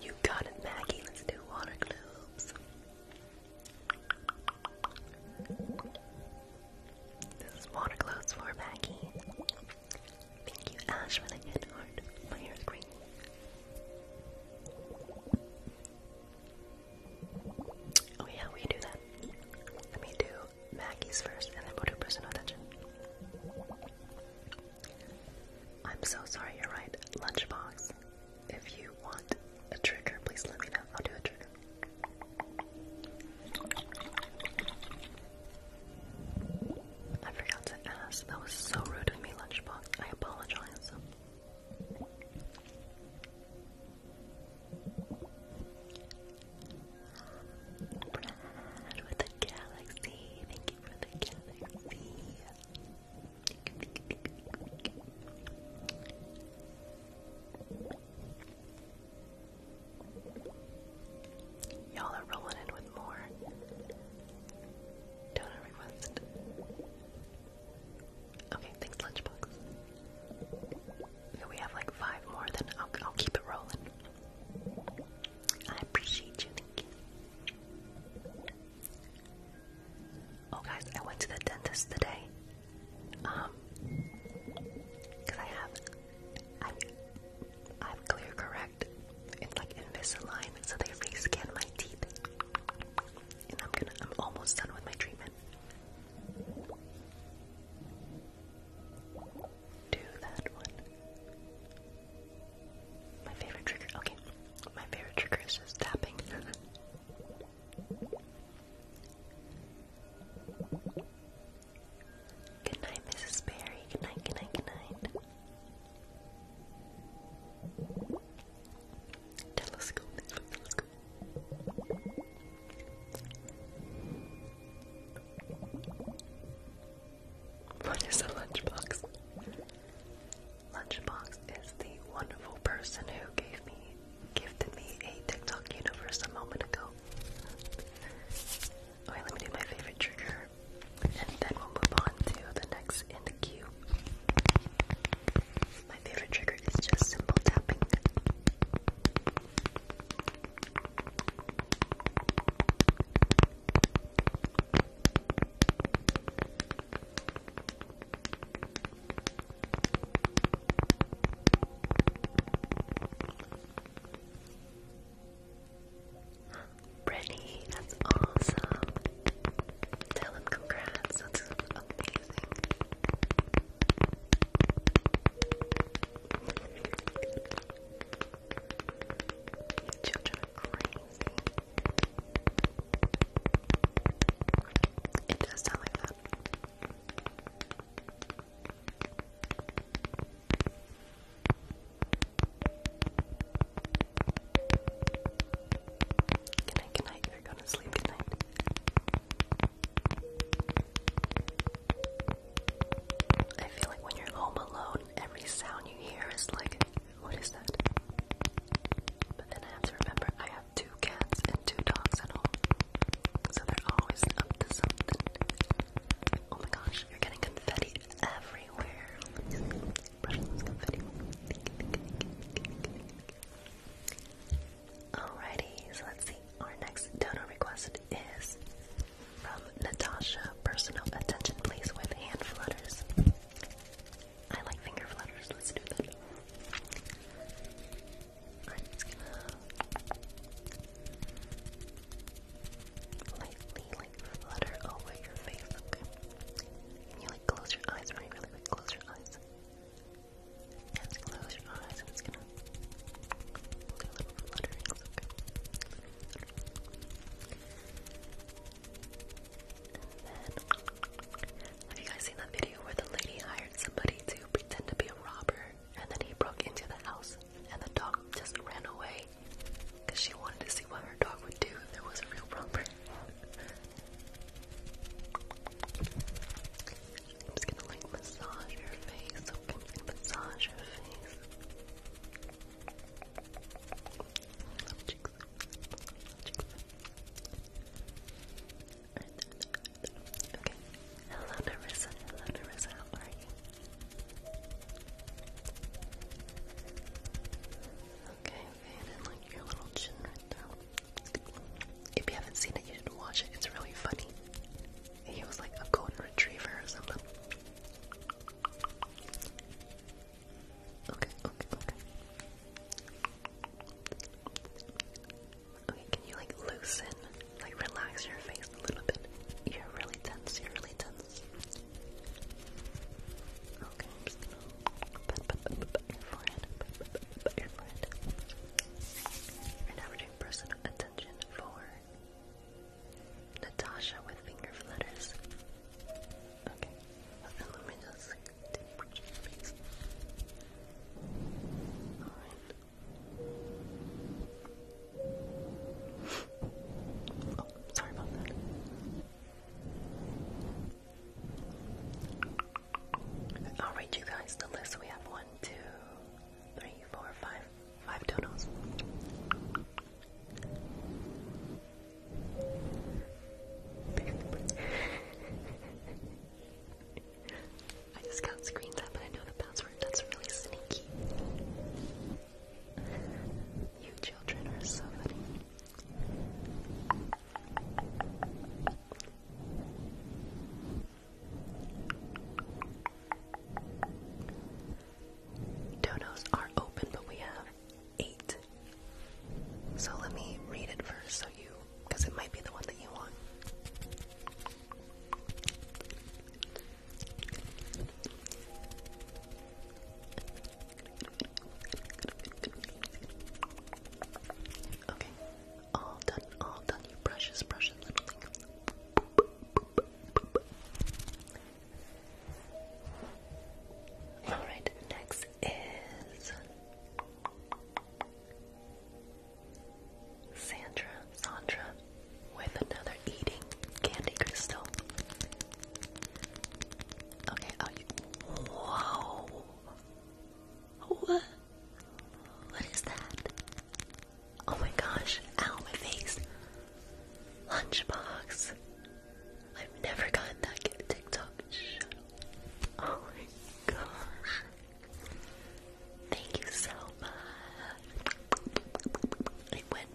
You got it, Maggie. Let's do water globes. This is water globes for Maggie. Thank you, Ash, for the good heart. My hair is Oh yeah, we do that. Let me do Maggie's first, and then we'll do personal attention. I'm so sorry, you're right. Lunchbox. If you want a trigger, please let me know. I'll do a trigger. I forgot to ask. That was so rude of me, Lunchbox. I apologize. Brad with the galaxy. Thank you for the galaxy. Y'all are rolling in with more. Donor request. Okay, thanks, Lunchbox. we have like five more, then I'll, keep it rolling. I appreciate you, thank you. Oh, guys, I went to the dentist today. Um, because I have I, I'm clear correct. It's like Invisalign, so they rescan my teeth. And I'm gonna, I'm almost done with my treatment. Do that one. My favorite trigger, okay. My favorite trigger is just tapping. Good night, Mrs. Berry. Good night, good night, good night. Telescope, telescope. What is a lunchbox? Lunchbox is the wonderful person who gave me, gifted me a TikTok universe a moment ago. Alright, let me do my favorite trigger. And then we'll move on to the next in the queue. My favorite trigger is just simple tapping. Brittany, that's awesome. Tell him congrats. That's amazing. Children are crazy. It does sound like that. Good night, You're going to sleep tonight. I feel like when you're home alone, every sound you hear is like, what is that? But remember I have two cats and two dogs at home. So they're always up to something. Oh my gosh, you're getting confetti Alrighty, so let's see. Our next donor request is from Natasha. Personal attention, please, with hand flutters. I like finger flutters. Let's do that lightly like flutter over your face, okay? you like close your eyes really really quick? Close your eyes. Yes, close your eyes. I'm gonna do a little fluttery. okay? have you guys seen that video where the lady hired somebody to pretend to be a robber and then he broke into the house? and the dog just ran away because she wanted to see what her dog would do if there was a real romper. I'm just gonna like massage her face, so we can massage her face. Okay. Hello, Narissa. Hello, Narissa. How are you? Okay, and like your little chin right there. If you haven't seen it, you should watch it. It's really funny. He was like a golden retriever or something. Okay, okay, okay. Okay, can you like loosen, like relax your face a little bit? You're really tense, you're really tense. Okay, put, put, put, put, put your forehead, put, put, put, put your forehead. And now doing personal attention for Natasha with finger flutters. Okay, and let me just take sorry about that. I'll read you guys the list. We have one, two, three, four, five, five donos. I just got screens up and I know the password. That's really sneaky. You children are so funny. Donos are open, but we have eight. So let me read it first, so you, it might be the one that you want. Okay, all done, all done. You brushes, brushes, little thing. Alright, next is Sandra, Sandra, with another eating candy crystal. Okay, are What? What is that? Oh my gosh! Ow, my face! Lunchbox. I've never gotten that gift TikTok. Oh my gosh! Thank you so much. It went.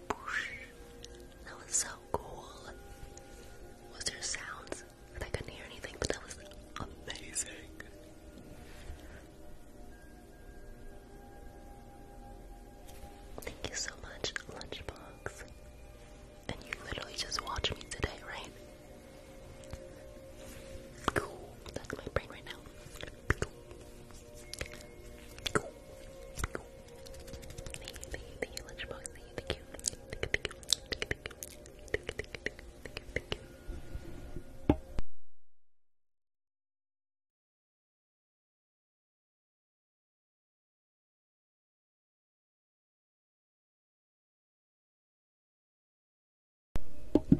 That was so cool. Was there sounds? I couldn't hear anything, but that was amazing. Thank you so much, Lunchbox. And you literally just watched me today, right? Cool. That's my brain right now. Thank you, lunchbox, the, the cute, the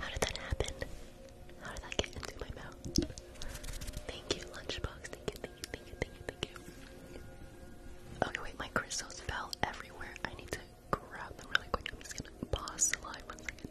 How did that happen? How did that get into my mouth? Thank you, lunchbox. Thank you, thank Okay, wait, my crystals fell everywhere. I need to grab them really quick. I'm just gonna pause the live one second.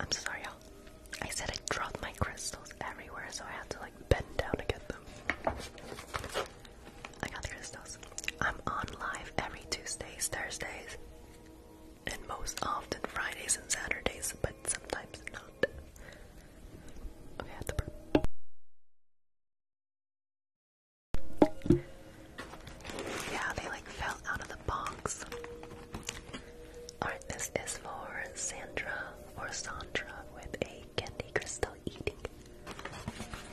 I'm sorry, y'all. I said I dropped my crystals everywhere, so I had to like bend down to get them. I got the crystals. I'm on live every Tuesdays, Thursdays, and most often Fridays and Saturdays, but sometimes not. Yeah, they like fell out of the box. Alright, this is for Sandra or Sandra with a candy crystal eating.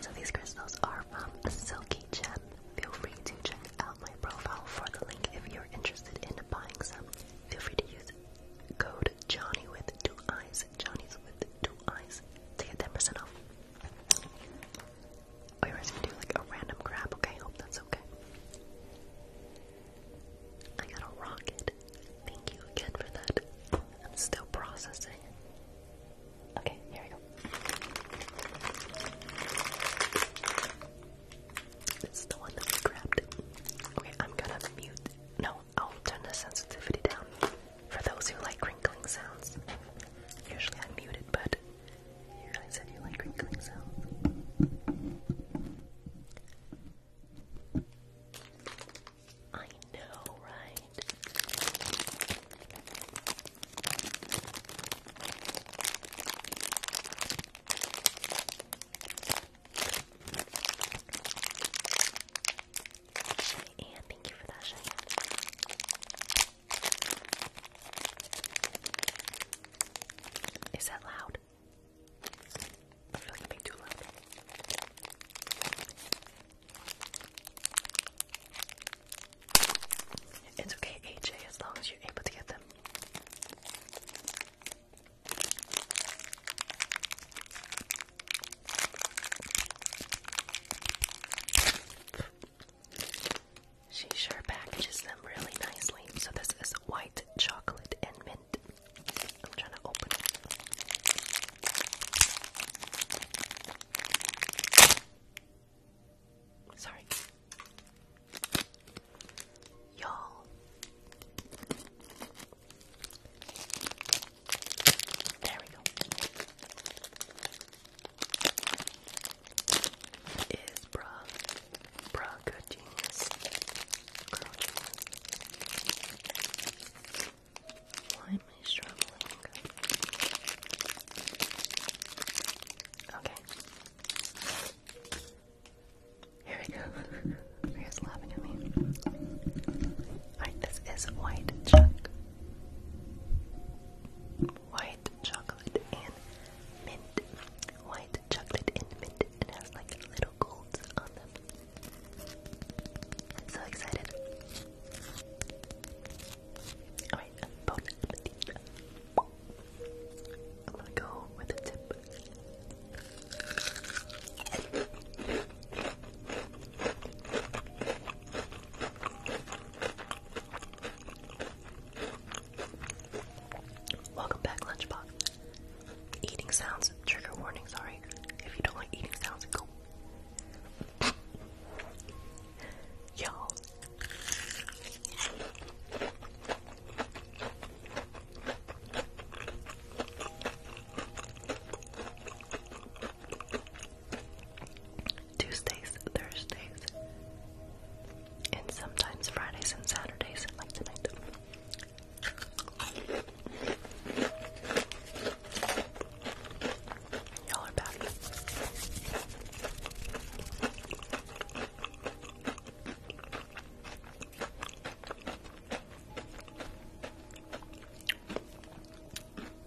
So these crystals are from Silky Gem. Feel free to check out my profile for the link if you're interested in buying some. Feel free to use it code Johnny with two eyes, Johnny's with two eyes to get 10% off. Or you're just do like a random grab, okay? Hope that's okay. I got a rocket. Thank you again for that. I'm still processing. Okay, here we go. This is the one that we grabbed. Okay, I'm gonna mute. No, I'll turn the sensitivity down for those who like crinkling sounds. Usually I mute it, but you guys said you like crinkling sounds. I know, right? Is that loud? I feel like I'm too loud. It's okay, AJ, as long as you're able to get them. She sure packages them really nicely. So this is white chocolate and mint. I'm trying to open Sorry. Y'all, there we go. Is bra, bra genius? genius. Why am I struggling? Okay. Here we go. Maria's laughing at me. Alright, this is white chocolate. White chocolate and mint. White chocolate and mint. It has like little golds on them. I'm so excited. Alright, I'm gonna go with a tip Welcome back, Lunchbox. Eating sounds, trigger warning, sorry. If you don't like eating sounds, go. you Tuesdays, Thursdays, and sometimes Fridays and Saturdays, like tonight. Y'all are back.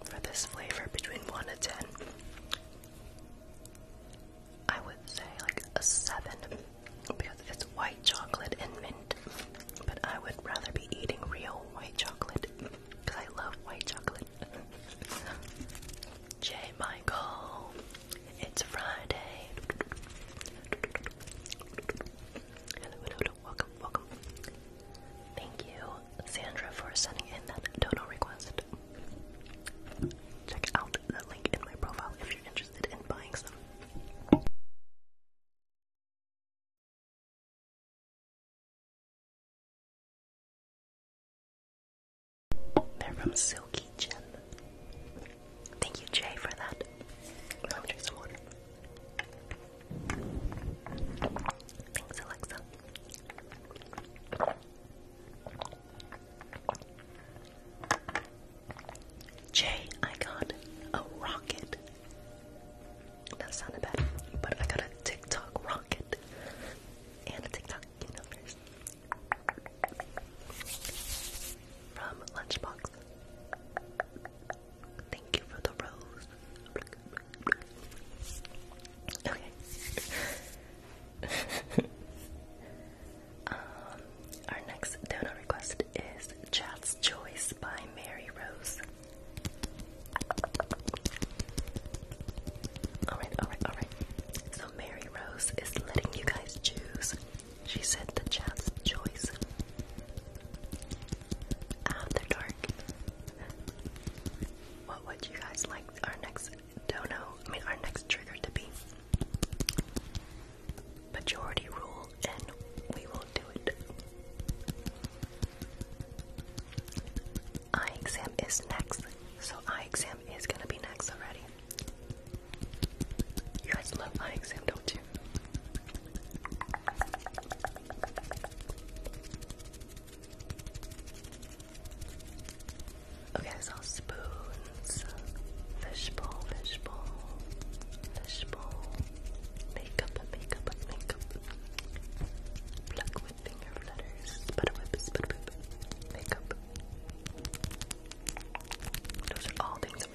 For this flavor, between 1 and 10, I would say like a 7 because it's white chocolate and mint. But I would rather be eating real white chocolate because I love white chocolate. J. Michael, it's Friday. Hello, Welcome, welcome. Thank you, Sandra, for sending in that dono request. Check out the link in my profile if you're interested in buying some. They're from Silky Gem. Thank you, Jay, for that. Let me drink some water. Thanks, Alexa. Jay, I got a rocket. That sounded bad, but I got a TikTok rocket and a TikTok numbers from Lunchbox. Thank you for the rose. Okay. um, our next donor request is Chat's Choice by Mary Rose. Alright, alright, alright. So Mary Rose is letting you guys choose she said the chap's choice. After dark. What would you guys like our next dono, I mean our next trigger to be? Majority rule and we will do it. Eye exam is next. So eye exam is gonna be next already. You guys love eye exam, don't Okay, I spoons, fishbowl, fishbowl, fishbowl, makeup, makeup, makeup, pluck with flutters, sputter whip, makeup. Those are all things that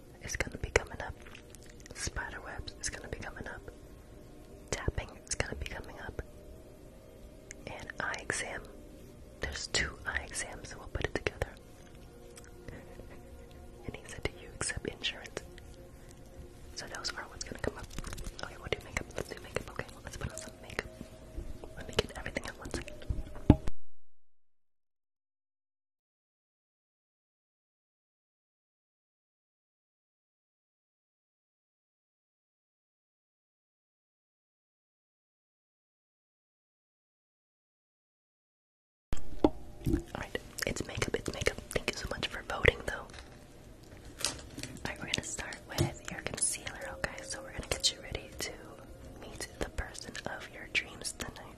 It's gonna be coming up. Spider webs is gonna be coming up. Tapping It's gonna be coming up. And eye exam. There's two eye exams, so we'll put it together. and he said, Do you accept insurance? So those are what's gonna come up. Okay, we'll do makeup. Let's do makeup. Okay, let's put on some makeup. Let me get everything at once again. Alright, it's makeup, it's makeup. Thank you so much for voting though. Alright, we're gonna start with your concealer, okay? So we're gonna get you ready to meet the person of your dreams tonight.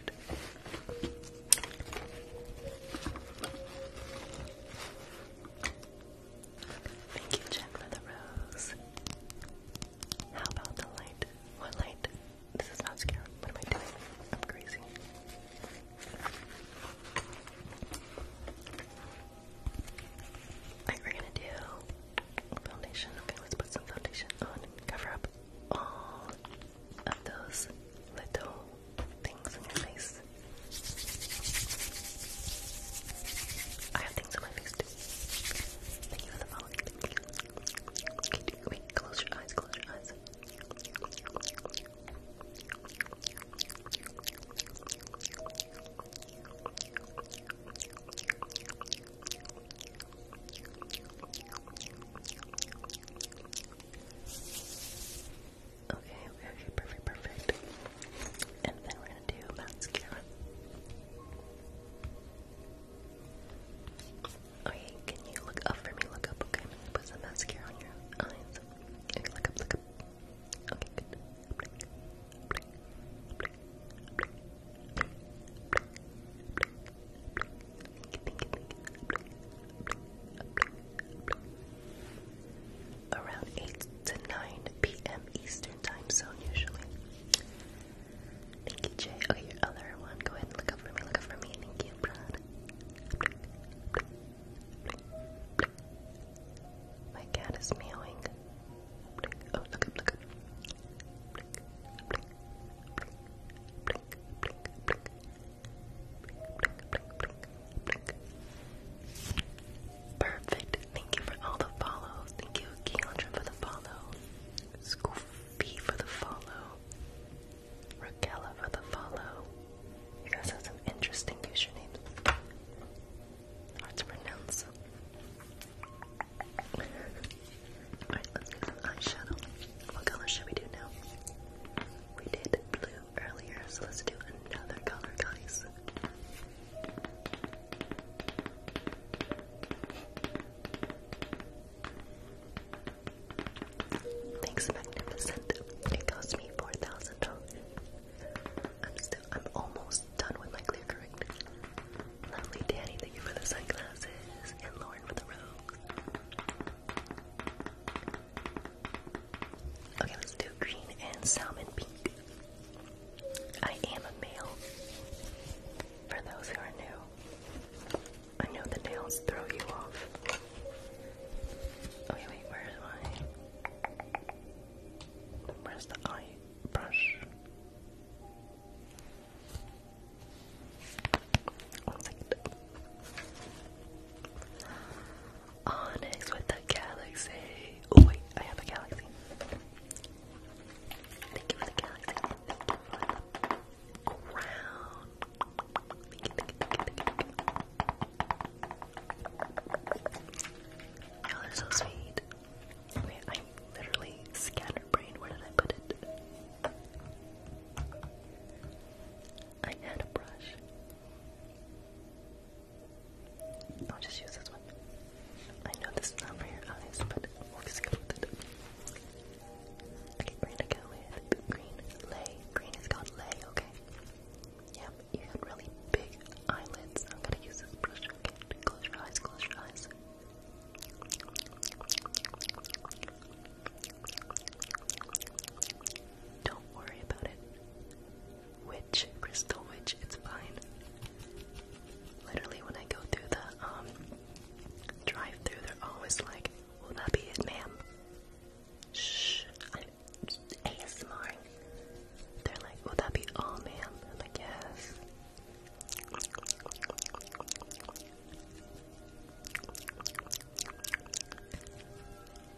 Thank you, Jack, for the rose. How about the light? What light? This is not scary. What am I doing? I'm crazy. Alright, we're gonna do foundation. Okay, let's put some foundation on cover up all of those little things on your face. I have things on my face Thank you for the follow. close your eyes, close your eyes. Okay, okay, perfect, perfect. And then we're gonna do mascara. Okay, can you look up for me? Look up, okay? put some mascara on your eyes. look up, look up. Around 8 to 9 p.m. Eastern Time Zone, usually. Thank you, Jay. Okay, oh, your other one. Go ahead and look up for me. Look up for me. Thank you, Brad. My cat is meowing. Oh, look up, look up. Perfect. Thank you for all the follows. Thank you, Keandra, for the follow. Scoopy for the follow. Raquella for the follow. You guys have some interesting usernames. Hard to pronounce. Alright, let's do some eyeshadow. What color should we do now? We did blue earlier, so let's do another color, guys. Thanks, Magnificent. It cost me four thousand dollars. I'm still, I'm almost done with my clear correct. Lovely Danny, thank you for the sunglasses, and Lauren for the rose. Okay, let's do green and salmon pink. I am a male. For those who are new, I know the nails throw you off. Okay, wait, where am Where's the eye brush? One second. Onyx with the galaxy. Oh wait, I have a galaxy. Thank you the galaxy. Thank you the crown. Thank you, are so sweet. Wait, I'm literally scatterbrained. Where did I put it? I had a brush. I'll just use this one. I know this is not for your eyes, but we'll just go with it. Okay, we're gonna go with green lay. Green is called lay, okay? Yep, you got really big eyelids. I'm gonna use this brush, okay? Close your eyes, close your eyes. Don't worry about it. Witch, crystal witch, it's fine. Literally, when I go through the um drive through, they're always like, "Will that be it, ma'am?" Shh, ASMR. They're like, "Will that be all, ma'am?" I'm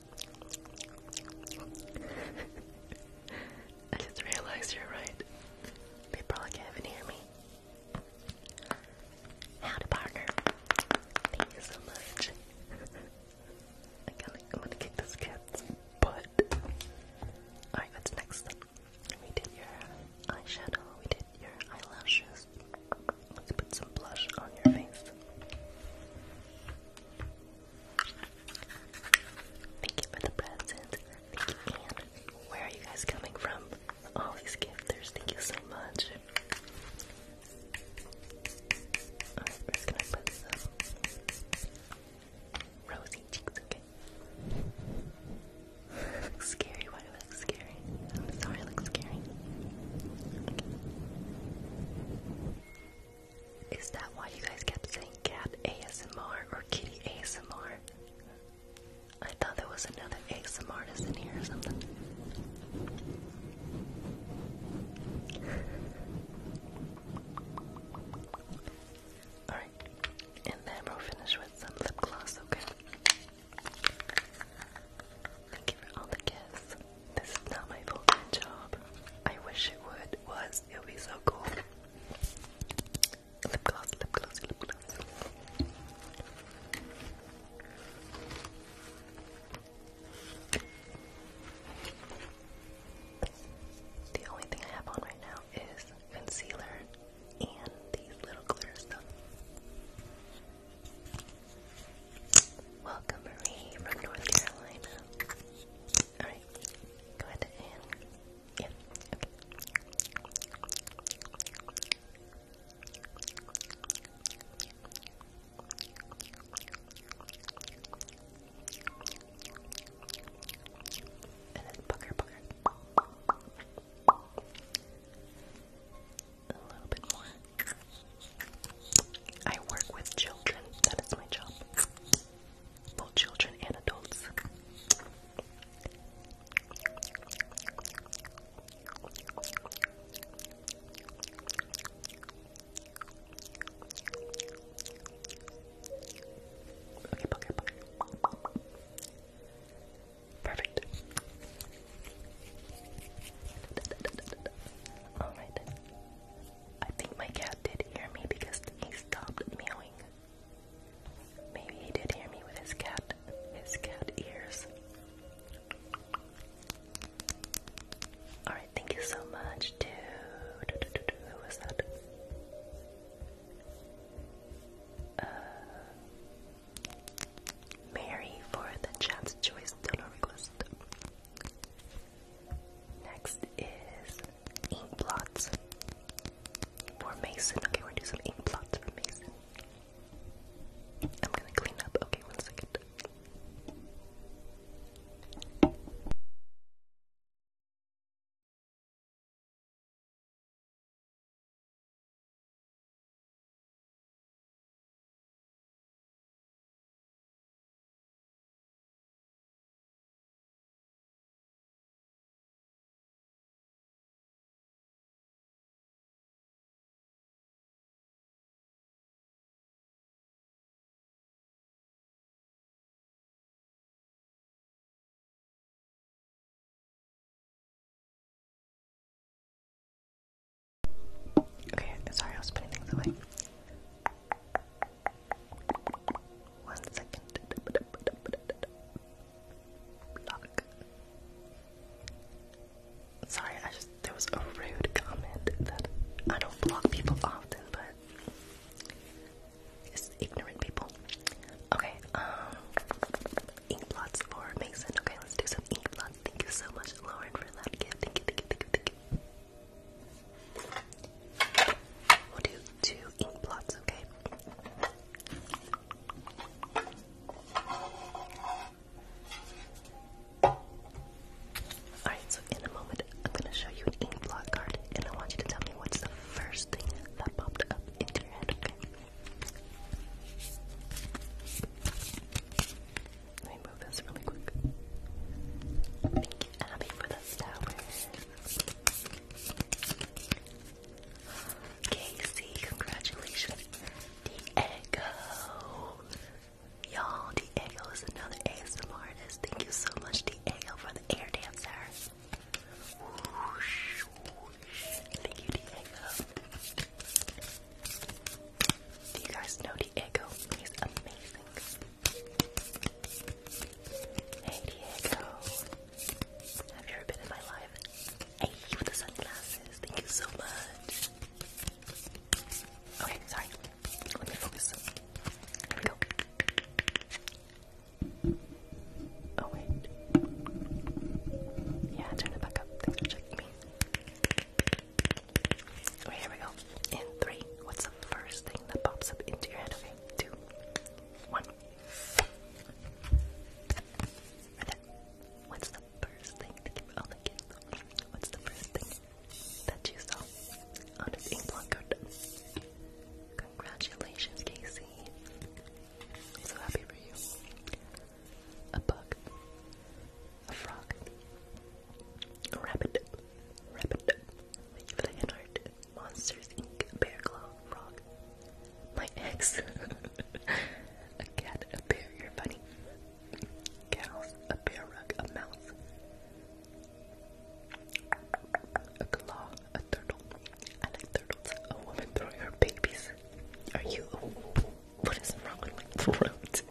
I just realized you're right. They probably can't even hear me. Howdy, partner. Thank you so much. I gotta, kick this cat's butt. Alright, what's next? We did your eyeshadow, we did your eyelashes. Let's put some blush on your face. Thank you for the present. Where are you guys coming from? All these gifters, thank you so much. Alright, going gonna put some rosy cheeks, okay? looks scary, why do I look scary? I'm sorry I look scary. Is that why you guys kept saying cat ASMR or kitty ASMR? I thought there was another ASMR artist in here or something. Alright, and then we'll finish with some lip gloss, okay? Thank you for all the gifts. This is not my full time job. I wish it would was. It would be so cool. Lip gloss, lip gloss, lip gloss. The only thing I have on right now is concealer and these little glitter stuff. Welcome, Marie from North Carolina. Alright, go ahead and. Yeah, And then booger, booger. A little bit more. I work with children. That is my job. Both children and adults. Okay, Perfect. All right. I think my cat did hear me because he stopped meowing. Maybe he did hear me with his cat, his cat ears. Alright, thank you so much to... Who was that? Uh, Mary for the chat's choice donor request. Next is ink blots for Mason. Okay, we're gonna do some ink blots for Mason. I'm gonna clean up. Okay, one second. Okay, sorry, I was putting things away. One second. Sorry, I just there was a rude comment that I don't block people often, but it's ignorant people. Okay, um, ink blots for Mason. Okay, let's do some ink blots. Thank you so much, Lauren, for that gift. Thank you, thank you, thank you, thank you. We'll do two ink blots, okay? Alright, so in a moment, I'm going to show you an ink blot card, and I want you to tell me what's the first thing that popped up into your head, okay? Let me move this really quick. Thank for the flowers. Casey, congratulations. Diego. Y'all, Diego is another ASMR artist. Thank you so much, Diego, for the air dancer. Thank you, Diego. Do you guys know Diego? He's amazing. Hey Diego, have you ever been in my life? Hey, with the sunglasses, thank you so much. Okay, sorry. Let me focus. Oh wait. Yeah, turn it back up. Thanks for checking me. Right, here we go. In three, what's the first thing that pops up into your head? two, one. What's the first thing that you saw Congratulations, Casey. so happy for you. A bug. A frog. Wrap it up. Wrap it up. Leave it a heart. Monsters Inc. Bear Claw Frog. My ex. a cat, a bear, you're funny. Cows, a bear rug, a mouse. A claw, a turtle. I like turtles. A woman throwing her babies. Are you. What is wrong with my throat?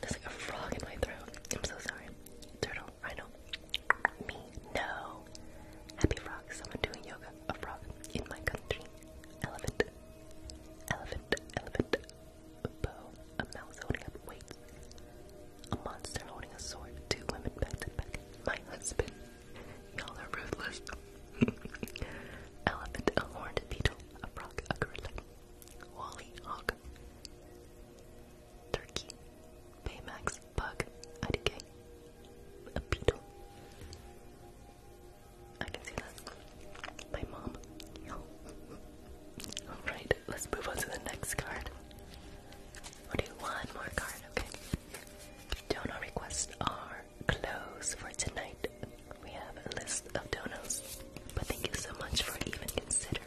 There's like a frog in my throat. I'm so sorry. Turtle, rhino, me, no. Happy frog, someone doing yoga. A frog in my country. Elephant, elephant, elephant. A mouse holding up weights. A monster holding a sword. Two women back to back. My husband. Y'all are ruthless. elephant, a horned beetle, a frog, a gorilla. Wally Hawk, Turkey, Baymax, Bug, IDK, a beetle. I can see that. My mom. Alright, let's move on to the next card. We'll do one more card, okay? Donor requests are closed for tonight. We have a list of donos, but thank you so much for even considering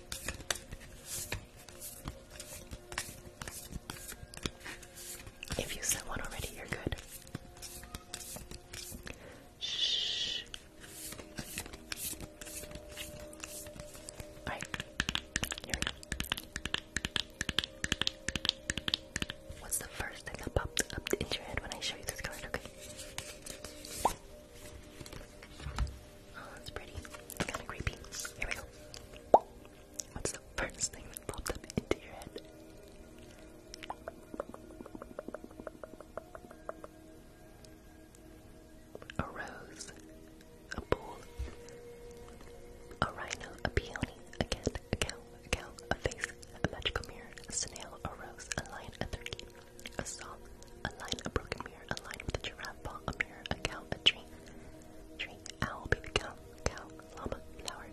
If you sent one already, you're good. Shh. All right. What's the first thing that popped up into your head when I show you this card? Okay. Oh, that's pretty. It's kind of creepy. Here we go. What's the first thing that popped up into your head? A rose, a bull, a rhino, a peony, a cat, a cow, a cow, a face, a magical mirror, a snail, a rose, a lion, a turkey, a saw, a line, a broken mirror, a line with a giraffe paw, a mirror, a cow, a tree, tree, owl, baby cow, cow, llama, flower,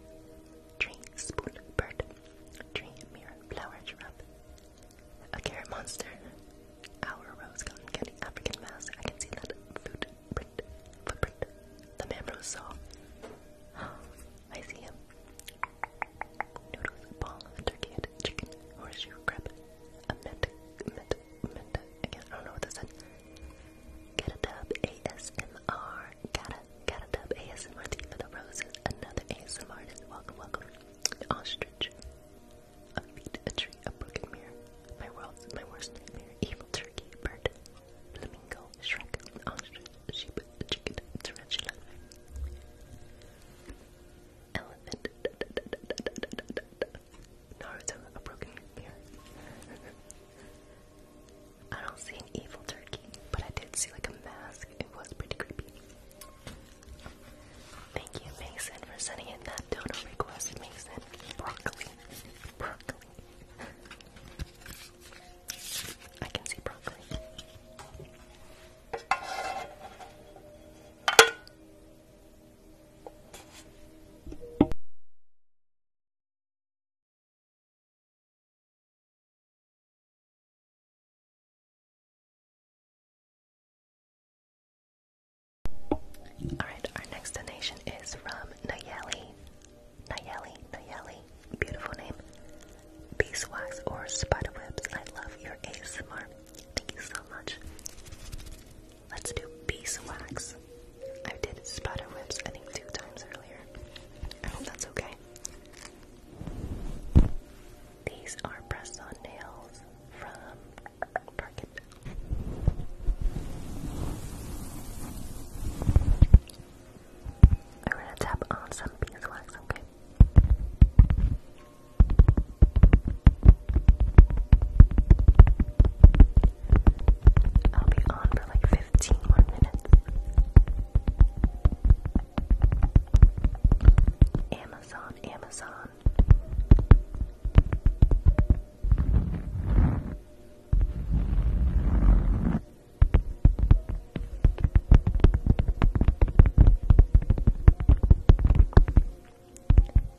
tree, spoon, bird, tree, mirror, flower, giraffe, a carrot monster, our rose, cotton candy, African mask, I can see that food print, footprint, the mammoth saw. I see him. Noodles, ball, turkey chicken, horseshoe, crab, a mint, mint, mint, again, I don't know what that said. got a dub ASMR, gotta, gotta dub ASMR tea for the roses. Another ASMR welcome, welcome. An ostrich, a beat a tree, a broken mirror. My world's my worst nightmare. Evil turkey, bird, flamingo, shrek, ostrich, sheep, chicken, tarantula. Elephant, Naruto a broken mirror. I don't see an evil turkey, but I did see like a mask. It was pretty creepy. Thank you, Mason, for sending in that dono request, Mason. Broccoli. Broccoli. I can see broccoli. Alright, our next donation is from Nayeli. Nayeli, Nayeli, beautiful name. Beeswax or spiderwebs, I love your ASMR. Thank you so much. Let's do beeswax. I did spider webs, I think, two times earlier. I hope that's okay. These are press on nails from Target. I'm gonna tap on some beeswax, okay? I'll be on for like 15 more minutes. Amazon, Amazon.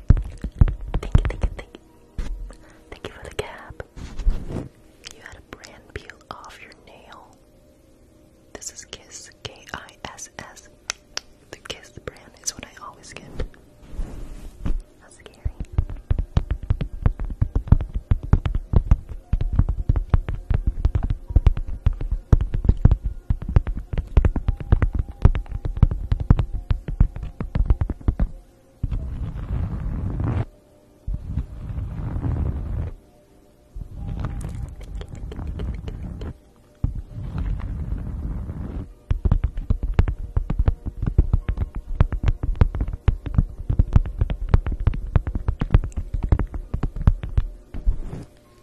Thank you, thank you, thank you. Thank you for the cap. You had a brand peel off your nail. This is Kiss, K I S S. The Kiss brand is what I always get. How scary.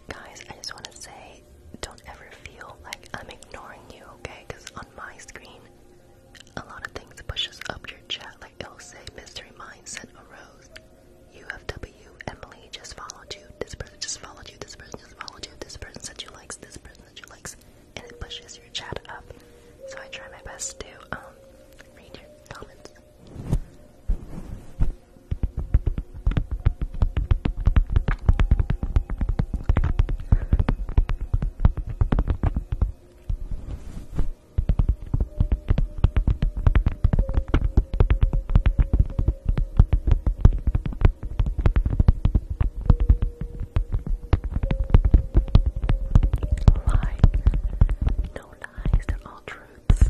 Guys, I just want to say don't ever feel like I'm ignoring you, okay? Because on my screen, a lot of things pushes up your chat. Like it'll say, "Mystery mindset arose." UFW Emily just followed you. This person just followed you. This person just followed you. This person said you likes. This person said you likes, and it pushes your chat up. So I try my best to um read your comments. No lies, they're all truths.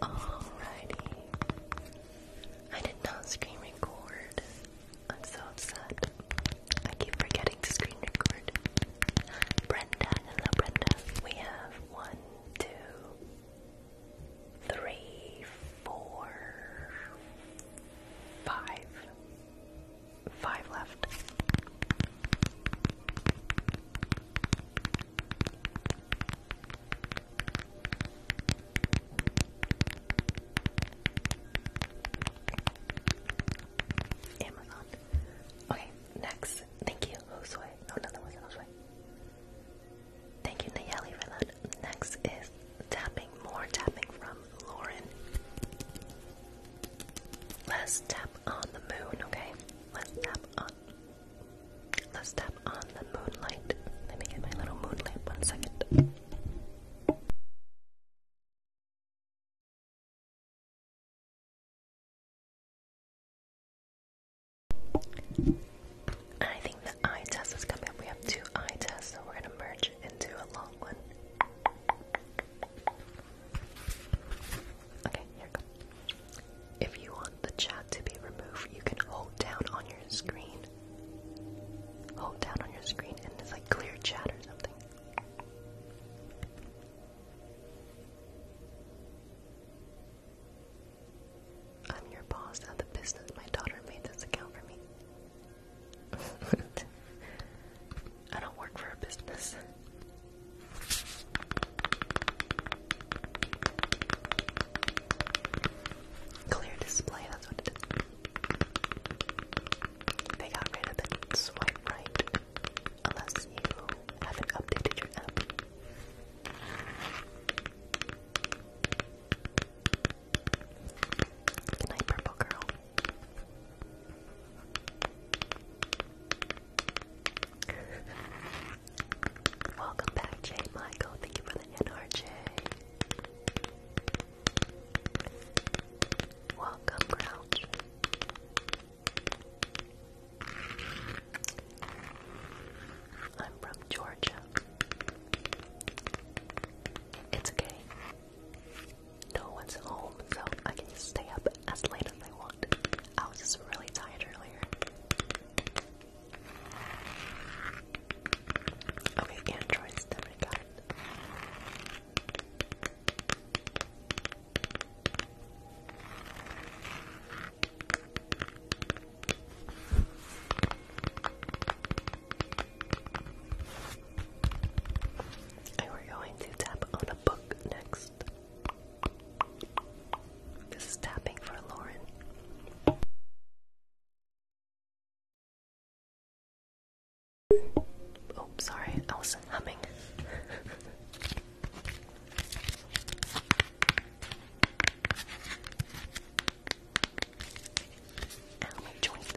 Alrighty. I did not screen record. I'm so upset. I keep forgetting screen record. Brenda, hello Brenda. We have one, two, three, four, five. Five left. Amazon. Okay, next. Thank you, Josue. Oh, no, no, Thank you, Nayeli, for Next is tapping, more tapping from Lauren. Let's tap on the moon, okay? Let's tap on Let's tap on the moonlight. Let me get my little moonlight one second. I think the eye test is coming We have two eye tests, so we're gonna merge into a long one. Okay, here we If you want the chat to be removed, you can hold down on your screen. Hold down on your screen and it's like clear chat or something. I'm your boss at the business. My daughter made this account for me. I don't work for a business. Clear display, that's what it is. They got rid of the swipe right, unless you haven't updated your app. purple girl. Welcome back, Jay Michael. Thank you for the NRJ. Welcome, Crouch. I'm from Georgia. It's okay. No one's home, so I can just stay up as late as I want. I was just really tired earlier. Okay, androids, then I got it. And we're going to tap on a book next. This is tapping for Lauren. Oh, sorry, I was humming. Ow, joints.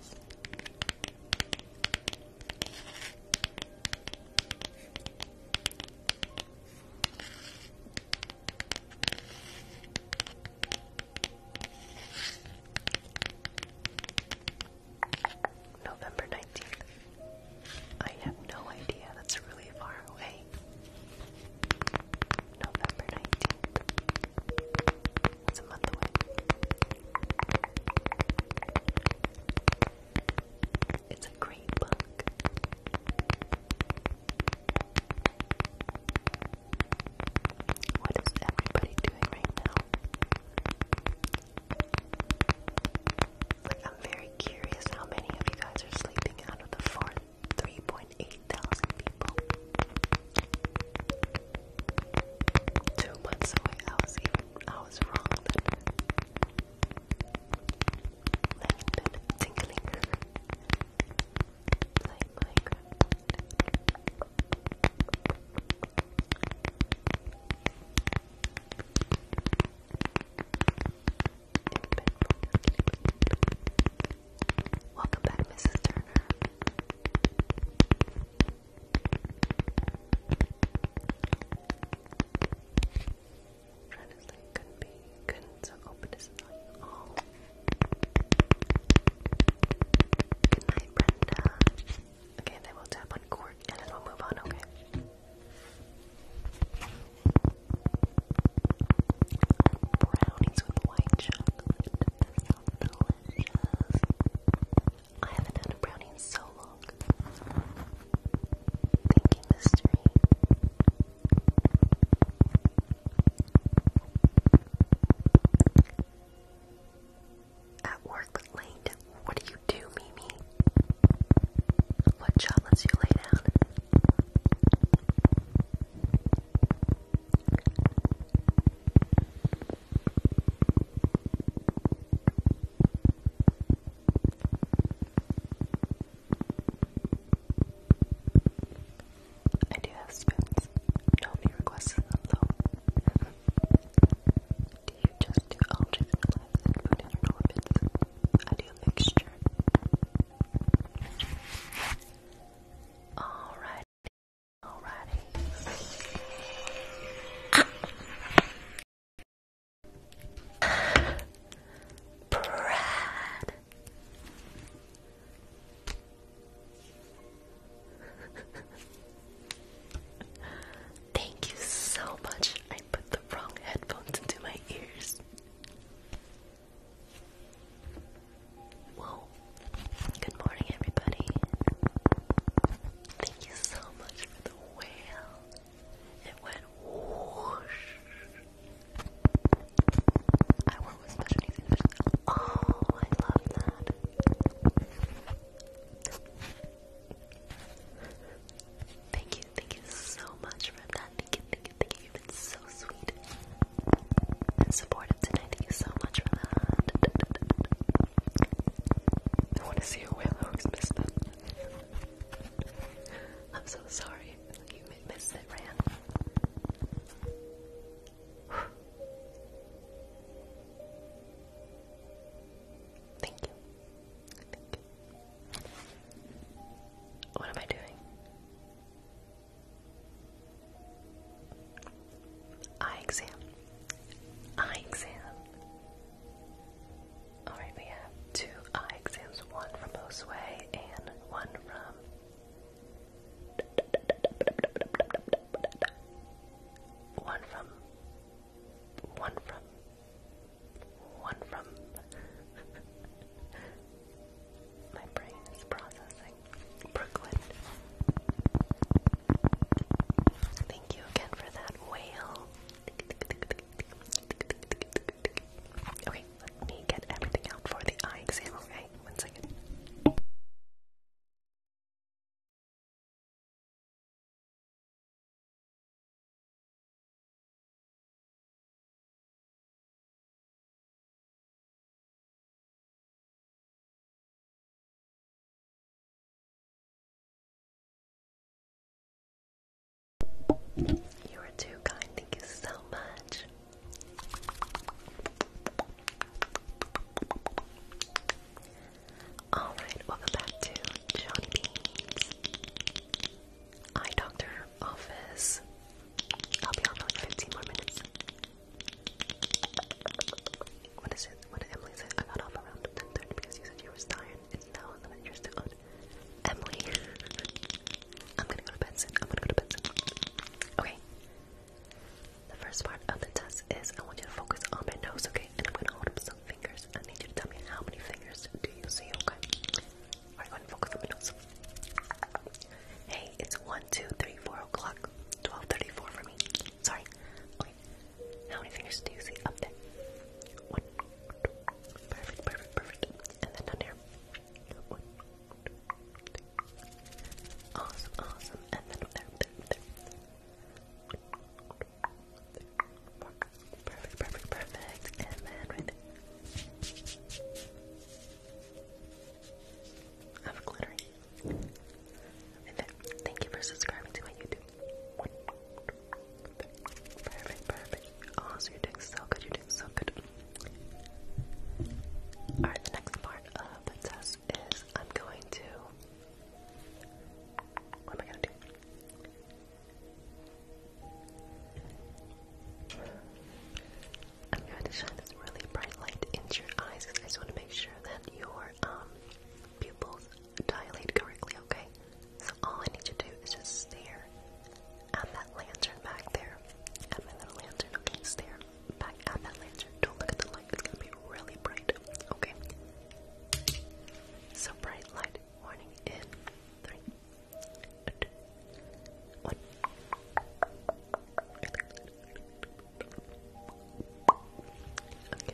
November 19th. I have no idea, that's really far away. November 19th. That's a month It's a great book. What is everybody doing right now? I'm very curious how many of you guys are sleeping out of the four 3.8 thousand people. Two months away, I was wrong then little bit tingling like Minecraft welcome back Mrs. Turner trying to say couldn't be, couldn't, so open is not oh. Good night, Brenda. Okay, then we'll tap on cork and then we'll move on, okay? Brownies with white chocolate. delicious. I haven't had a brownie in so long. Thank mystery. At work late, what do you do, Mimi? What job you lay down? I do have spoons. Nobody requested them do you just do objects in your in your orbits? I do mixture. Alright. Alrighty. Ah. Thank you so much. I put the wrong headphones into my ears. Whoa. Good morning, everybody. Thank you so much for the whale. It went whoosh. I work with special needs Oh, I love that. Thank you, thank you so much for that. Thank you, thank you, thank you. You've been so sweet and supportive tonight. Thank you so much for that. I want to see your willows miss them. I'm so sorry. You missed it, Ran. Thank you. What am I doing? Eye exam. Eye exam. Alright, we have two eye exams, one from Josue and one from one from. One from. One from. My brain is processing. Brooklyn. Thank you again for that whale. Okay, let me get everything out for the eye exam, okay? One second. You are too kind, thank you so much. Alright, welcome back to Johnny Beans Eye Doctor Office. I'll be on for 15 more minutes. What is it? What did Emily say? I got off around 10.30 because you said you were tired. It's now 11 Emily. I'm gonna go to bed soon. I'm gonna go to bed soon. Okay. The first part of the test is I want you to focus on my nose, okay? And I'm gonna hold up some fingers. I need you to tell me how many fingers do you see, okay? Alright, go and focus on my nose. Hey, it's 1, o'clock. 12.34 for me. Sorry. How many fingers do you see up there? One. Perfect, perfect, perfect. And then down here. One, two, three, Awesome, awesome. And then there, there, there. Perfect, perfect, perfect. And then right there. I have glitter. And then, thank you for subscribing to my YouTube. Perfect, perfect. Awesome, you're doing so good, you're doing so good. Alright, next part of the test is I'm going to. What am do? I'm going to shine this really bright light into your eyes because I just want to make sure that your um, pupils dilate correctly, okay? So all I need you to do is just stare Add that lantern back there. Add my little lantern. Okay, it's there. Back, add that lantern. Don't look at the light. It's gonna be really bright. Okay. So bright light. Warning in three, two, one. Okay, one. Okay.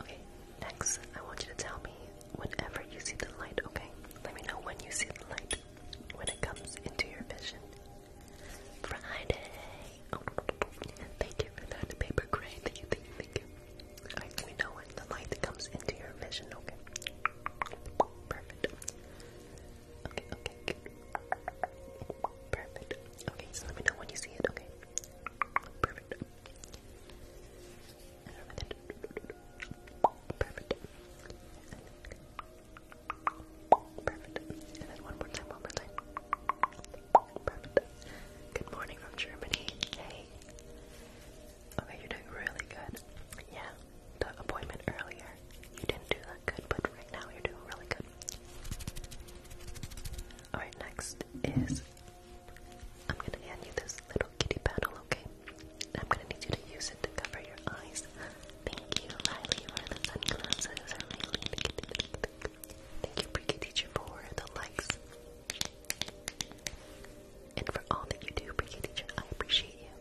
Okay, next, I want you to tell me whenever you see the light, okay? Let me know when you see the light, when it comes into your vision. Friday! Oh, thank you for that paper crane. Thank you, thank let me know when the light comes into your vision, okay? Perfect. Okay, okay, Perfect. Okay, so let me know when you see it, okay? Perfect. Perfect. Perfect. And then one more time, one more time. Perfect. Good morning from Germany. Hey. Okay, you're doing really good. Yeah, the appointment earlier, you didn't do that good, but right now you're doing really good. Alright, next is I'm gonna hand you this little kitty paddle, okay? I'm gonna need you to use it to cover your eyes. Thank you, Riley, for the sunglasses. Thank you, Bricky Teacher, for the likes. And for all that you do, Bricky Teacher, I appreciate you.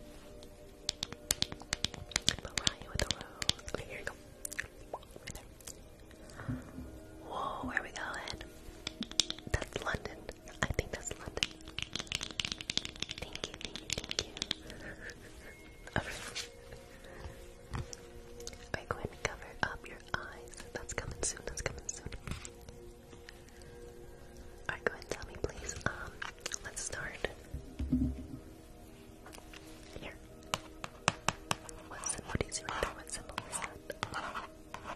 Mariah with a rose. Okay, here you go. Whoa, where are we going? That's London. I think that's London. Thank you, thank you, thank you. Alright, go ahead and cover up your eyes. That's coming soon, that's coming soon. Alright, go ahead and tell me, please. Um, let's start. Here. What symbol do you What symbol is that?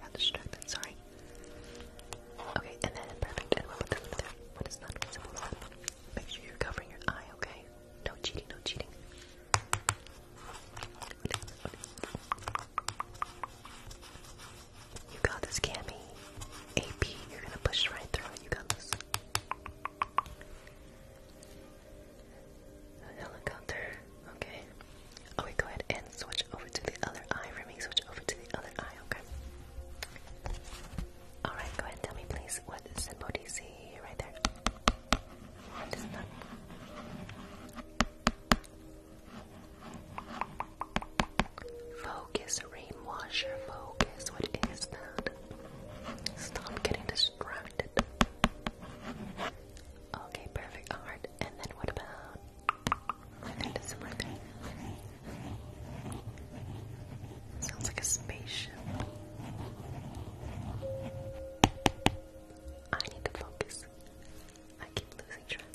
Got distracted, sorry. Okay, and then perfect. And we'll put this in there. What is not visible? Make sure you're covering your eye, okay? No cheating, no cheating. You got this, Cammy. AP, you're gonna push right through it. You got this. A helicopter. Okay. Oh, we go ahead and switch over to the other eye for me. Switch over to the other eye. Okay. All right. Go ahead. and Tell me, please, what symbol see right there? What is that? Focus, rain washer, focus. What is that? Stop getting distracted. Okay, perfect. A heart. And then what about? Sounds like a spaceship. I need to focus. I keep losing track.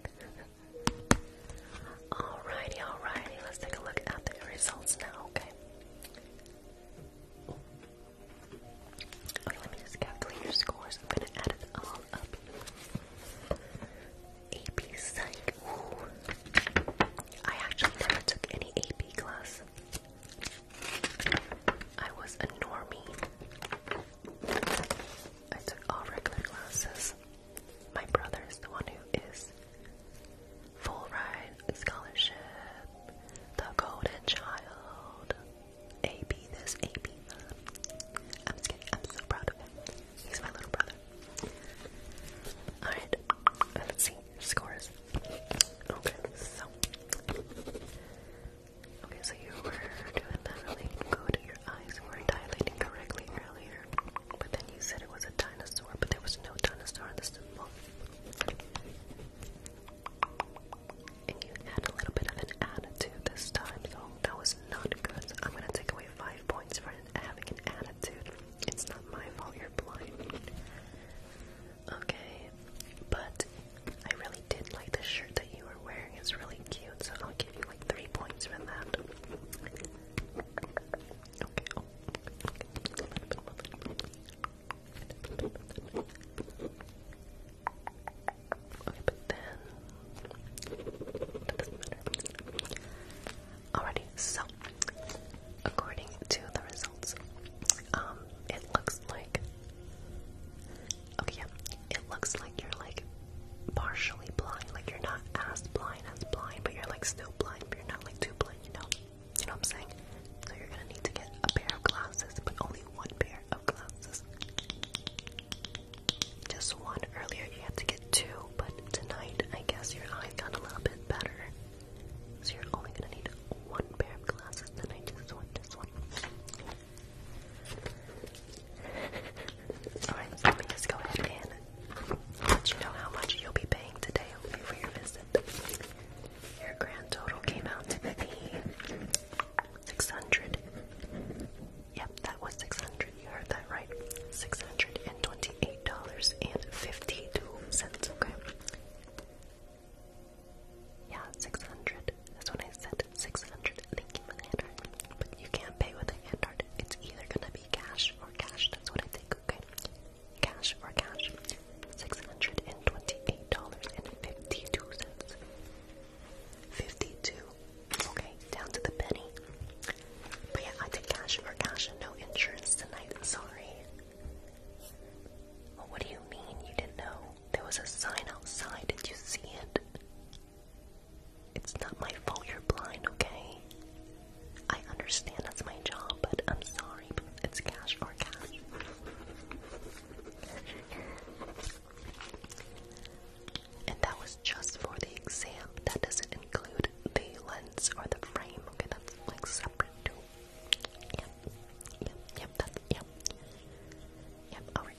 All righty, all righty. Let's take a look at the results now, okay? let me just calculate your scores. I'm gonna add it all up. AP Psych. I actually never took any AP class. I was a normie. I took all regular classes. My brother is the one who is Full ride Scholarship, The Golden Child, AB this, AB I'm so proud of him. He's my little brother. Alright, let's see scores. Okay, so. Okay, so you were doing that really good. Your eyes were dilating correctly earlier, but then you said it was a dinosaur, but there was no dinosaur in this symbol. And you had a little bit of an attitude this time, so that was not good. I'm gonna take away five points for having an attitude. It's not my fault you're blind. Okay, but I really did like the shirt that you were wearing. It's really cute, so I'll give you like three points for that. Okay, but then it doesn't matter. Alrighty, so according to the results, um, it looks like okay, yeah, it looks like you're like partially blind, like you're not as blind as blind, but you're like still blind, but you're not like too blind, you know. You know what I'm saying? So you're gonna need to get a pair of glasses, but only one pair of glasses. Just one. Earlier you had to get two, but tonight I guess your eye got a little bit better. So you're only gonna need one pair of glasses, then I just want this one. Alright, let me just go ahead and let you know how much you'll be paying today, for your visit. Your grand total came out to be 600. Yep, that was 600. You heard that right. $628.52, okay? Yeah, 600. That's what I said. 600. Thank you for the hand you can't pay with a hand card. It's either gonna be cash or cash. That's what I think, okay? cash for cash, six hundred and twenty-eight dollars and fifty-two cents. Fifty-two. Okay, down to the penny. But yeah, I did cash for cash and no insurance tonight. Sorry. what do you mean you didn't know? There was a sign outside. Did you see it? It's not my fault you're blind, okay? I understand that's my job, but I'm sorry, it's cash for cash. And that was just for the exam. That doesn't include the lens or the frame. Okay, that's like separate too. Yep, yep, yep, that's, yep. Yep, alright.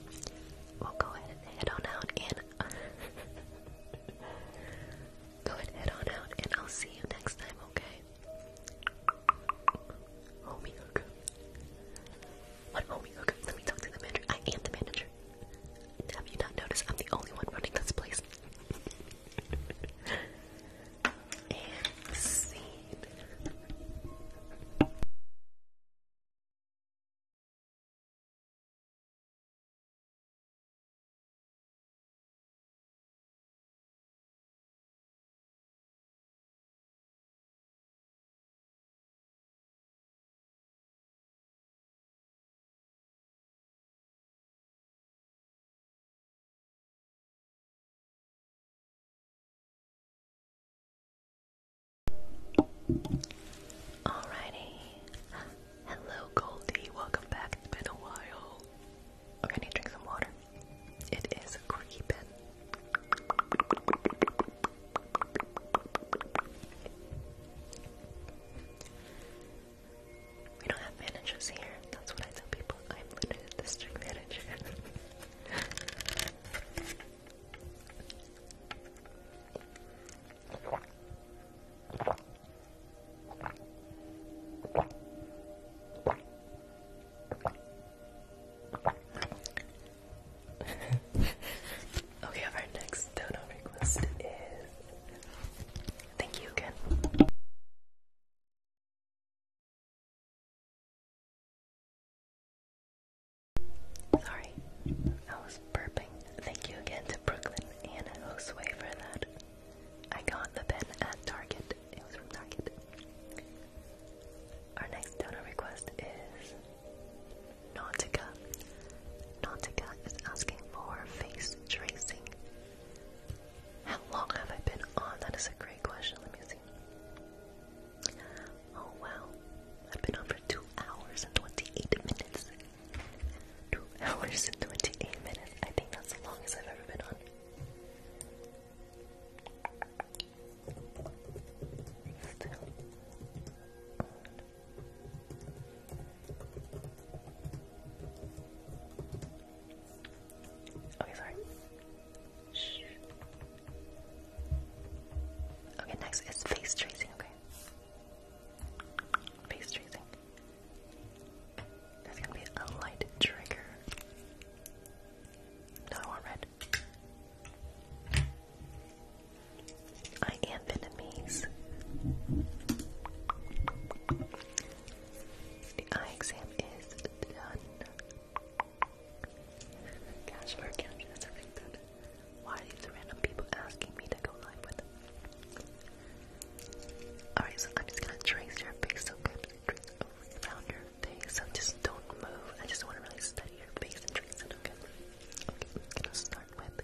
We'll go ahead head on out and... go ahead, head on out, and I'll see you next time, okay? Homie What homie Let me talk to the manager. I am the manager. Have you not noticed I'm the only one running this place? Alrighty. Hello, Goldie. Welcome back. It's been a while. Okay, need to drink some water. It is creeping. We don't have managers here. That's what I tell people. I'm the district manager. okay, our next donor request is. Thank you again. Sorry, I was burping. Thank you again to Brooklyn and Josue for that. I got the pen at Target. It was from Target. Our next donor request is Nautica. Nautica is asking for face tracing. How long have I been on? That is a great question. Let me see. Oh wow. I've been on for two hours and twenty-eight minutes. Two hours and twenty-eight minutes. I think that's the longest I've ever been on. Okay, sorry. Okay, next is face tracing, okay? Face tracing. There's gonna be a light trigger. Another one red. I am Vietnamese. The eye exam is done. Cash for Why are these random people asking me to go live with Alright, so I'm just gonna trace your face so good. Trace around your thing, so just don't move. I just want to really study your face and trace it, okay? Okay, we're start with you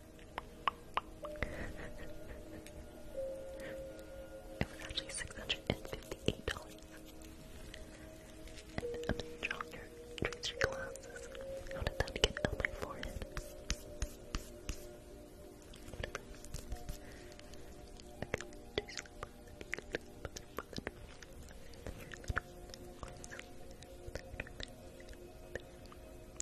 it was actually six hundred and fifty-eight dollars. I'm drawing your tracer glasses. How did that get on my forehead?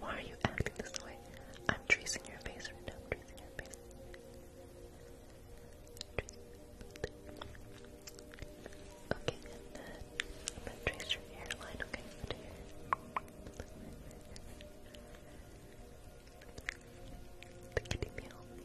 Why are you acting this way? I'm tracing your face right now. I'm tracing your face. Okay, I'm gonna trace your hairline. Okay, The kitty meal.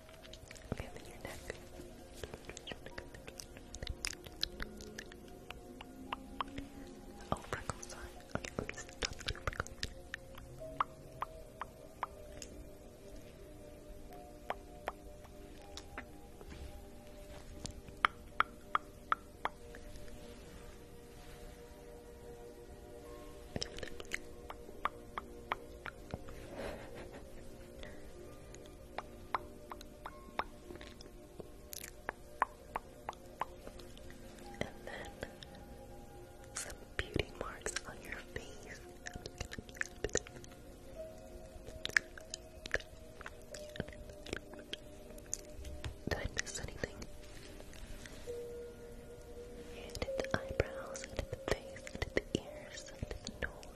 Okay, then your neck. Oh, freckles, sorry. Okay, let me stop the freckles. And then some beauty marks on your face. Did I miss anything? And the eyebrows, and the face, and the ears, and the nose.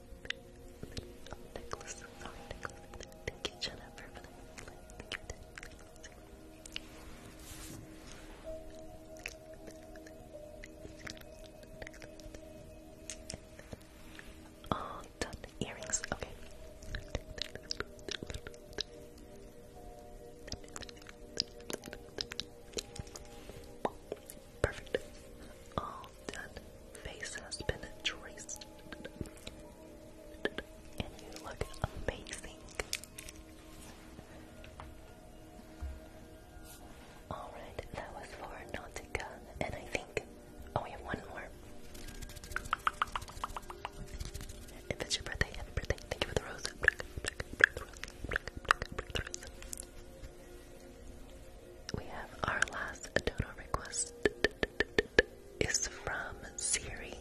little Thank you, Jennifer, done. Earrings. Okay. Perfect. All done face has been traced. And you look amazing. Alright, that was for Nautica. And I think. Oh, we have one more. If it's your birthday, happy birthday. Thank you for the rose. We have our last dono request is from Siri.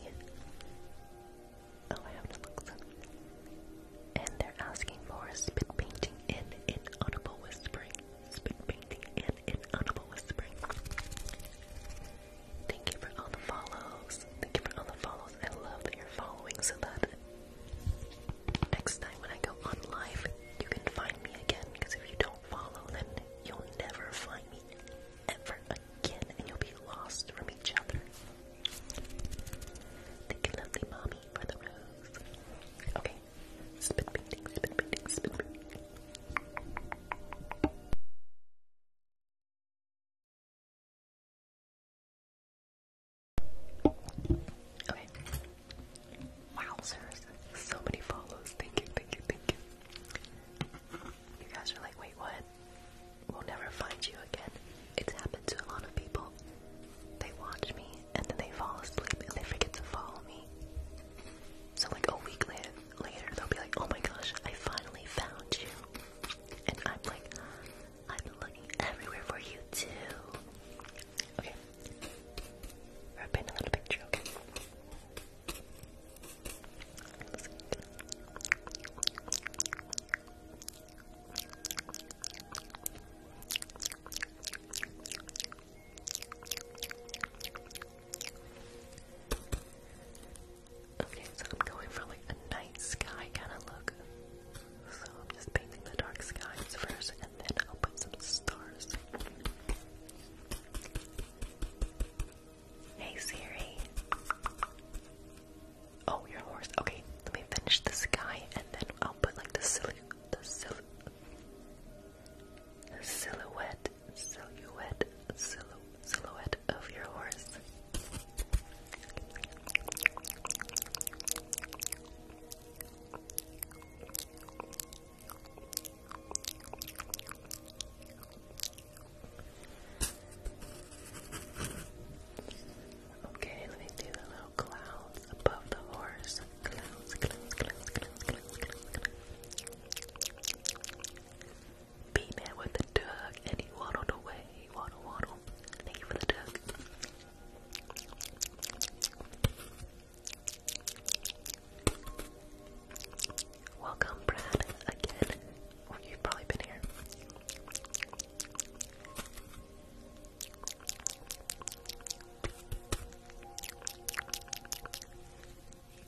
Oh, I have to look And they're asking for spit painting in inaudible whispering. Spit painting in inaudible whispering. Thank you for all the follows. Thank you for all the follows. I love that you're following so that next time when I go on live, you can find me again. Because if you don't follow, then you'll never find me ever again, and you'll be lost from each other. Thank you, lovely mommy, for the rose. Okay, spit painting, spit painting, Okay. Wow, so many follows. Thank you, thank you, thank you. You guys are like, wait, what? We'll never find you again. It's happened to a lot of people. They watch me and then they fall asleep and they forget to follow me. So, like a week later, later they'll be like, oh my gosh, I finally found you. And I'm like, I've been looking everywhere for you too. Okay. Rub a little picture, okay? Okay, so I'm going for like a night sky kind of look. So I'm just painting the dark skies first and then I'll put some stars. Hey Siri. Oh, your horse. Okay, let me finish this guy, and then I'll put like the silly, the silly, silhouette, silhouette, silhouette of your horse. Okay, let me see the little clouds above the horse. Clouds, clouds, with the dug, and he waddled away. Waddle, waddle. Thank you for the duck. Welcome, Brad, again. you've probably been here.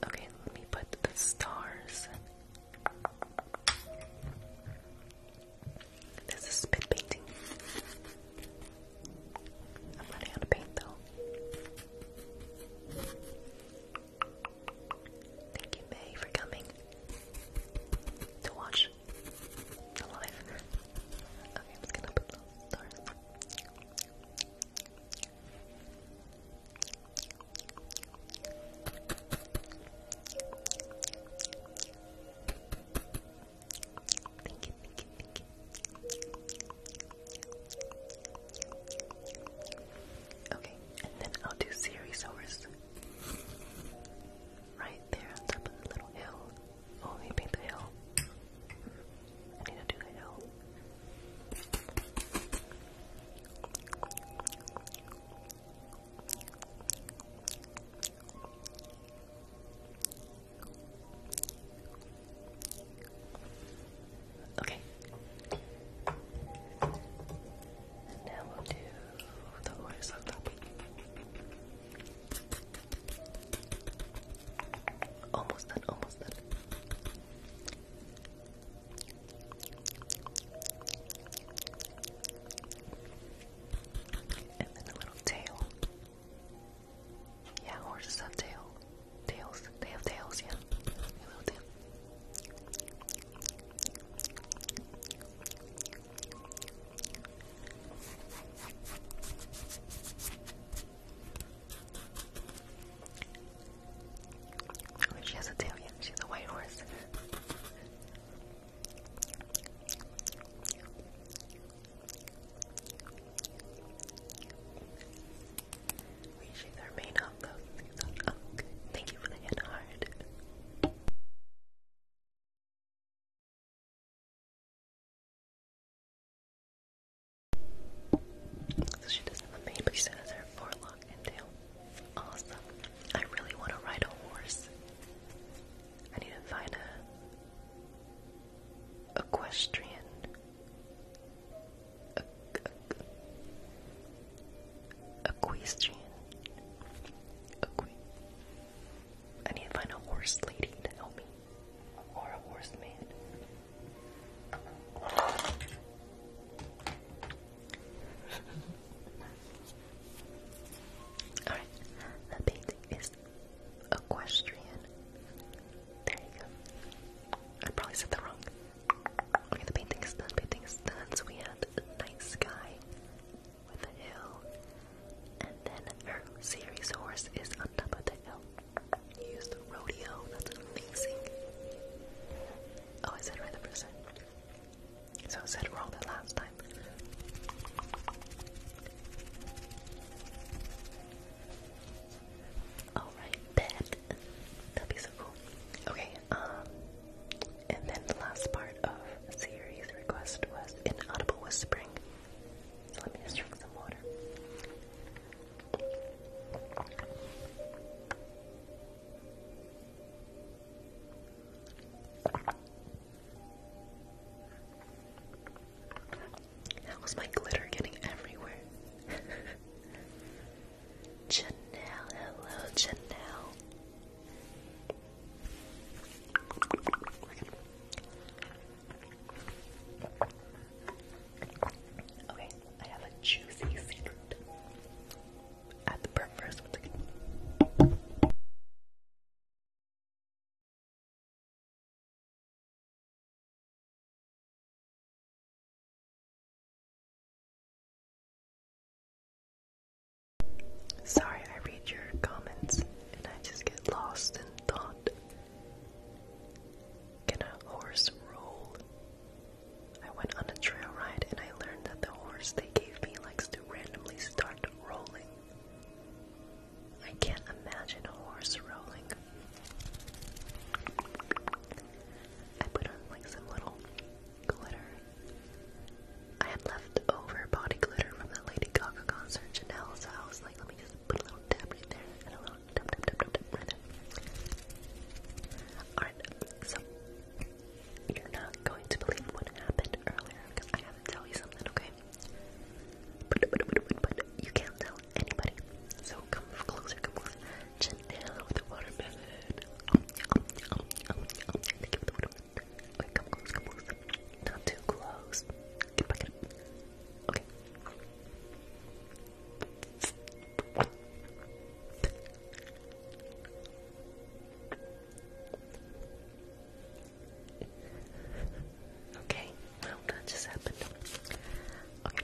Okay, let me put the stars. This is spit painting. I'm running out of paint though. Thank you, May, for coming to watch the live. Okay, I'm just gonna put Okay, and then I'll do series Ceriosaurus. Right there on top of the little hill. Oh, you paint the hill. I need to do the hill. Okay. now we'll do the horse on top. Almost done, almost done. And then a little tail. Yeah, horses have tail. Tails. They have tails, yeah. she has a tail, yeah. She's a white horse. Wishes are made up of season. Thank you for the hit hard. So she doesn't have a mane, but she has her forelock and tail. Awesome. I really want to ride a horse. I need to find a equestrian Equestrian. I need to find a horse lady to help me. Or a horseman. Alright, the painting is equestrian. There you go. I probably said that wrong. Okay, the painting is done, painting is done. So we had a nice sky with a hill. And then her series horse is on top of the hill. used rodeo, that's amazing. Oh, I said right the So I said wrong last time. Alright, That'd be so cool. Okay, um, and then the last part of series request was inaudible whispering. Let me drink some water. How is my glitter getting everywhere? Janelle, hello Janelle. Okay, I have a juicy secret at the burp first. One second. Sorry, I read your comments and I just get lost in thought. Can a horse roll? I went on a trail ride and I learned that the horse they gave me likes to randomly start rolling. I can't imagine a horse rolling. I put on like some little glitter. I had leftover body glitter from that Lady Gaga concert, Chanel's house. like, let me just put a little dab right there, and a little dab, dab, dab, dab, dab Alright, so you're not going to believe what happened earlier, I haven't tell you something, okay? But, but, but, but, but you can't tell anybody, so come closer, come closer. Check with the watermelon. Um, um, um, um, um. come come Not too close. Okay. Okay, well that just happened. Okay,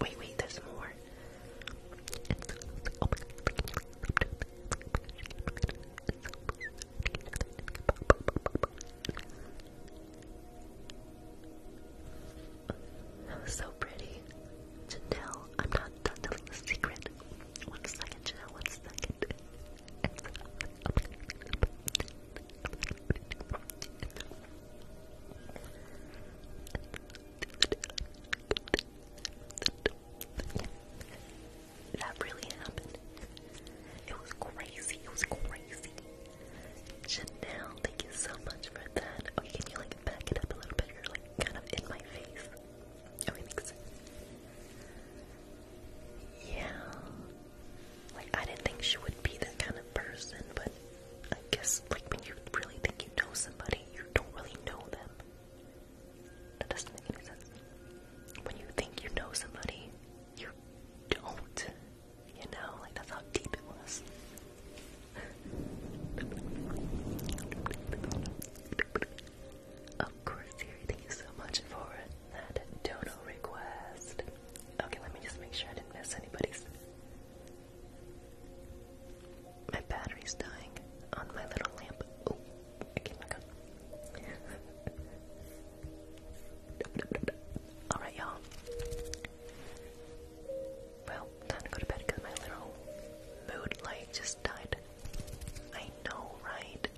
Wait, wait, there's more. Oh my So pretty. Janelle, I'm not done telling the secret. One second, Janelle, one second. That really happened. It was crazy. It was crazy. Chanel, thank you so much for that. Oh, can you like back it up a little bit? You're like kind of in my face. Oh, Yeah. Like, I didn't think she would be that kind of person, but I guess, like, when you really think you know somebody, you don't really know them. That doesn't make any sense. When you think you know somebody, you don't. You know, like, that's how deep it was. Of course, Siri, thank you so much for that dono request. Okay, let me just make sure I didn't miss anybody's my battery's dying on my little lamp. Oh, I came back up. Alright, y'all. Well, time to go to bed because my little mood light just died. I know, right?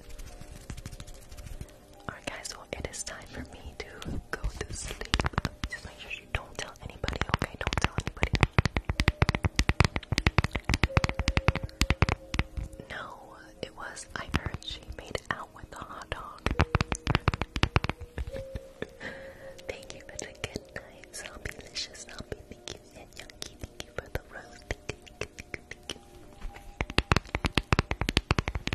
Alright, guys, well, it is time for me to go to sleep don't tell anybody, okay? Don't tell anybody. No, it was, I heard she made out with the hot dog. thank you for the good night, zombie licious zombie. Thank and Yankee, thank for the roast.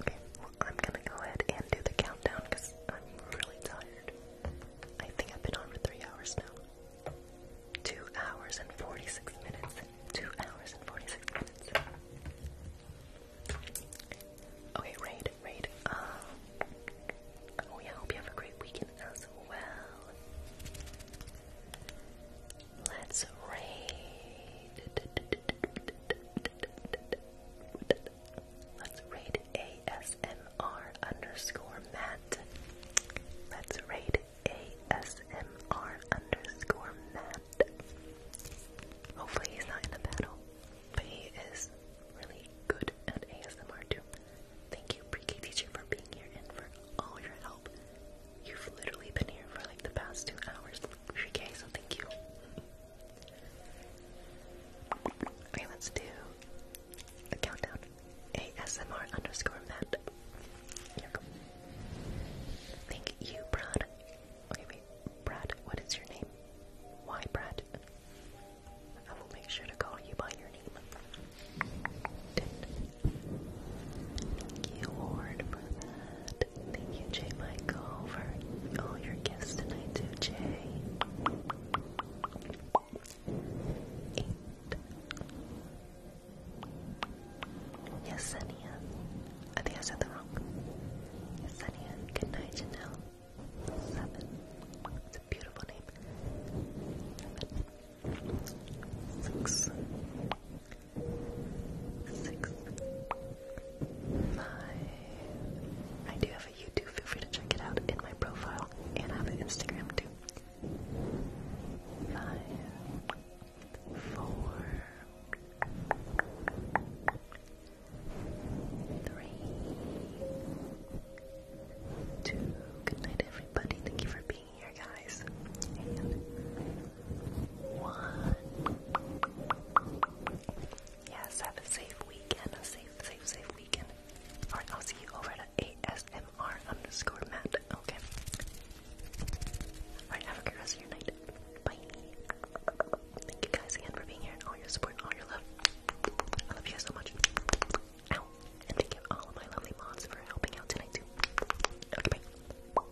Okay, I'm gonna go ahead and do the countdown because I'm really tired. I think I've been on for three hours now. Two hours and 46 minutes. Two hours and 46 minutes. Okay, Raid, Raid. Um, oh, yeah, hope you have a great weekend as well. Let's raid. Let's raid ASMR underscore Matt. Let's raid ASMR underscore Matt. Hopefully he's not in the battle, but he is really good at ASMR too. Thank you, pre-K teacher, for being here and for all your help. You've literally been here for like the past two hours. Okay, so thank you. Okay, let's do a countdown. ASMR underscore Matt. Here go. Thank you, Brad. Okay, wait. Brad, what is your name? Why, Brad? I will make sure to call you by your name. Thank you, Ward, for that that. Thank you, Jay Michael, for all your gifts tonight, too, Jay. Eight. Yesenia. I think I said that wrong. Yesenia. Good night, Janelle. Seven. It's a beautiful name. Seven. Six six, five. I do have a YouTube, feel free to check it out in my profile, and I have an Instagram too. Five, four, three, two. Good night, everybody. Thank you for being here, guys one. Yes, have a safe weekend. A safe, safe, safe weekend. Alright, I'll see you over at ASMR underscore Matt. Okay. Alright, have a good rest of your night. Bye. Thank you guys again for being here and all your support and all your love. I love you guys so much. And thank you all of my lovely mods for helping out tonight too. Okay, bye.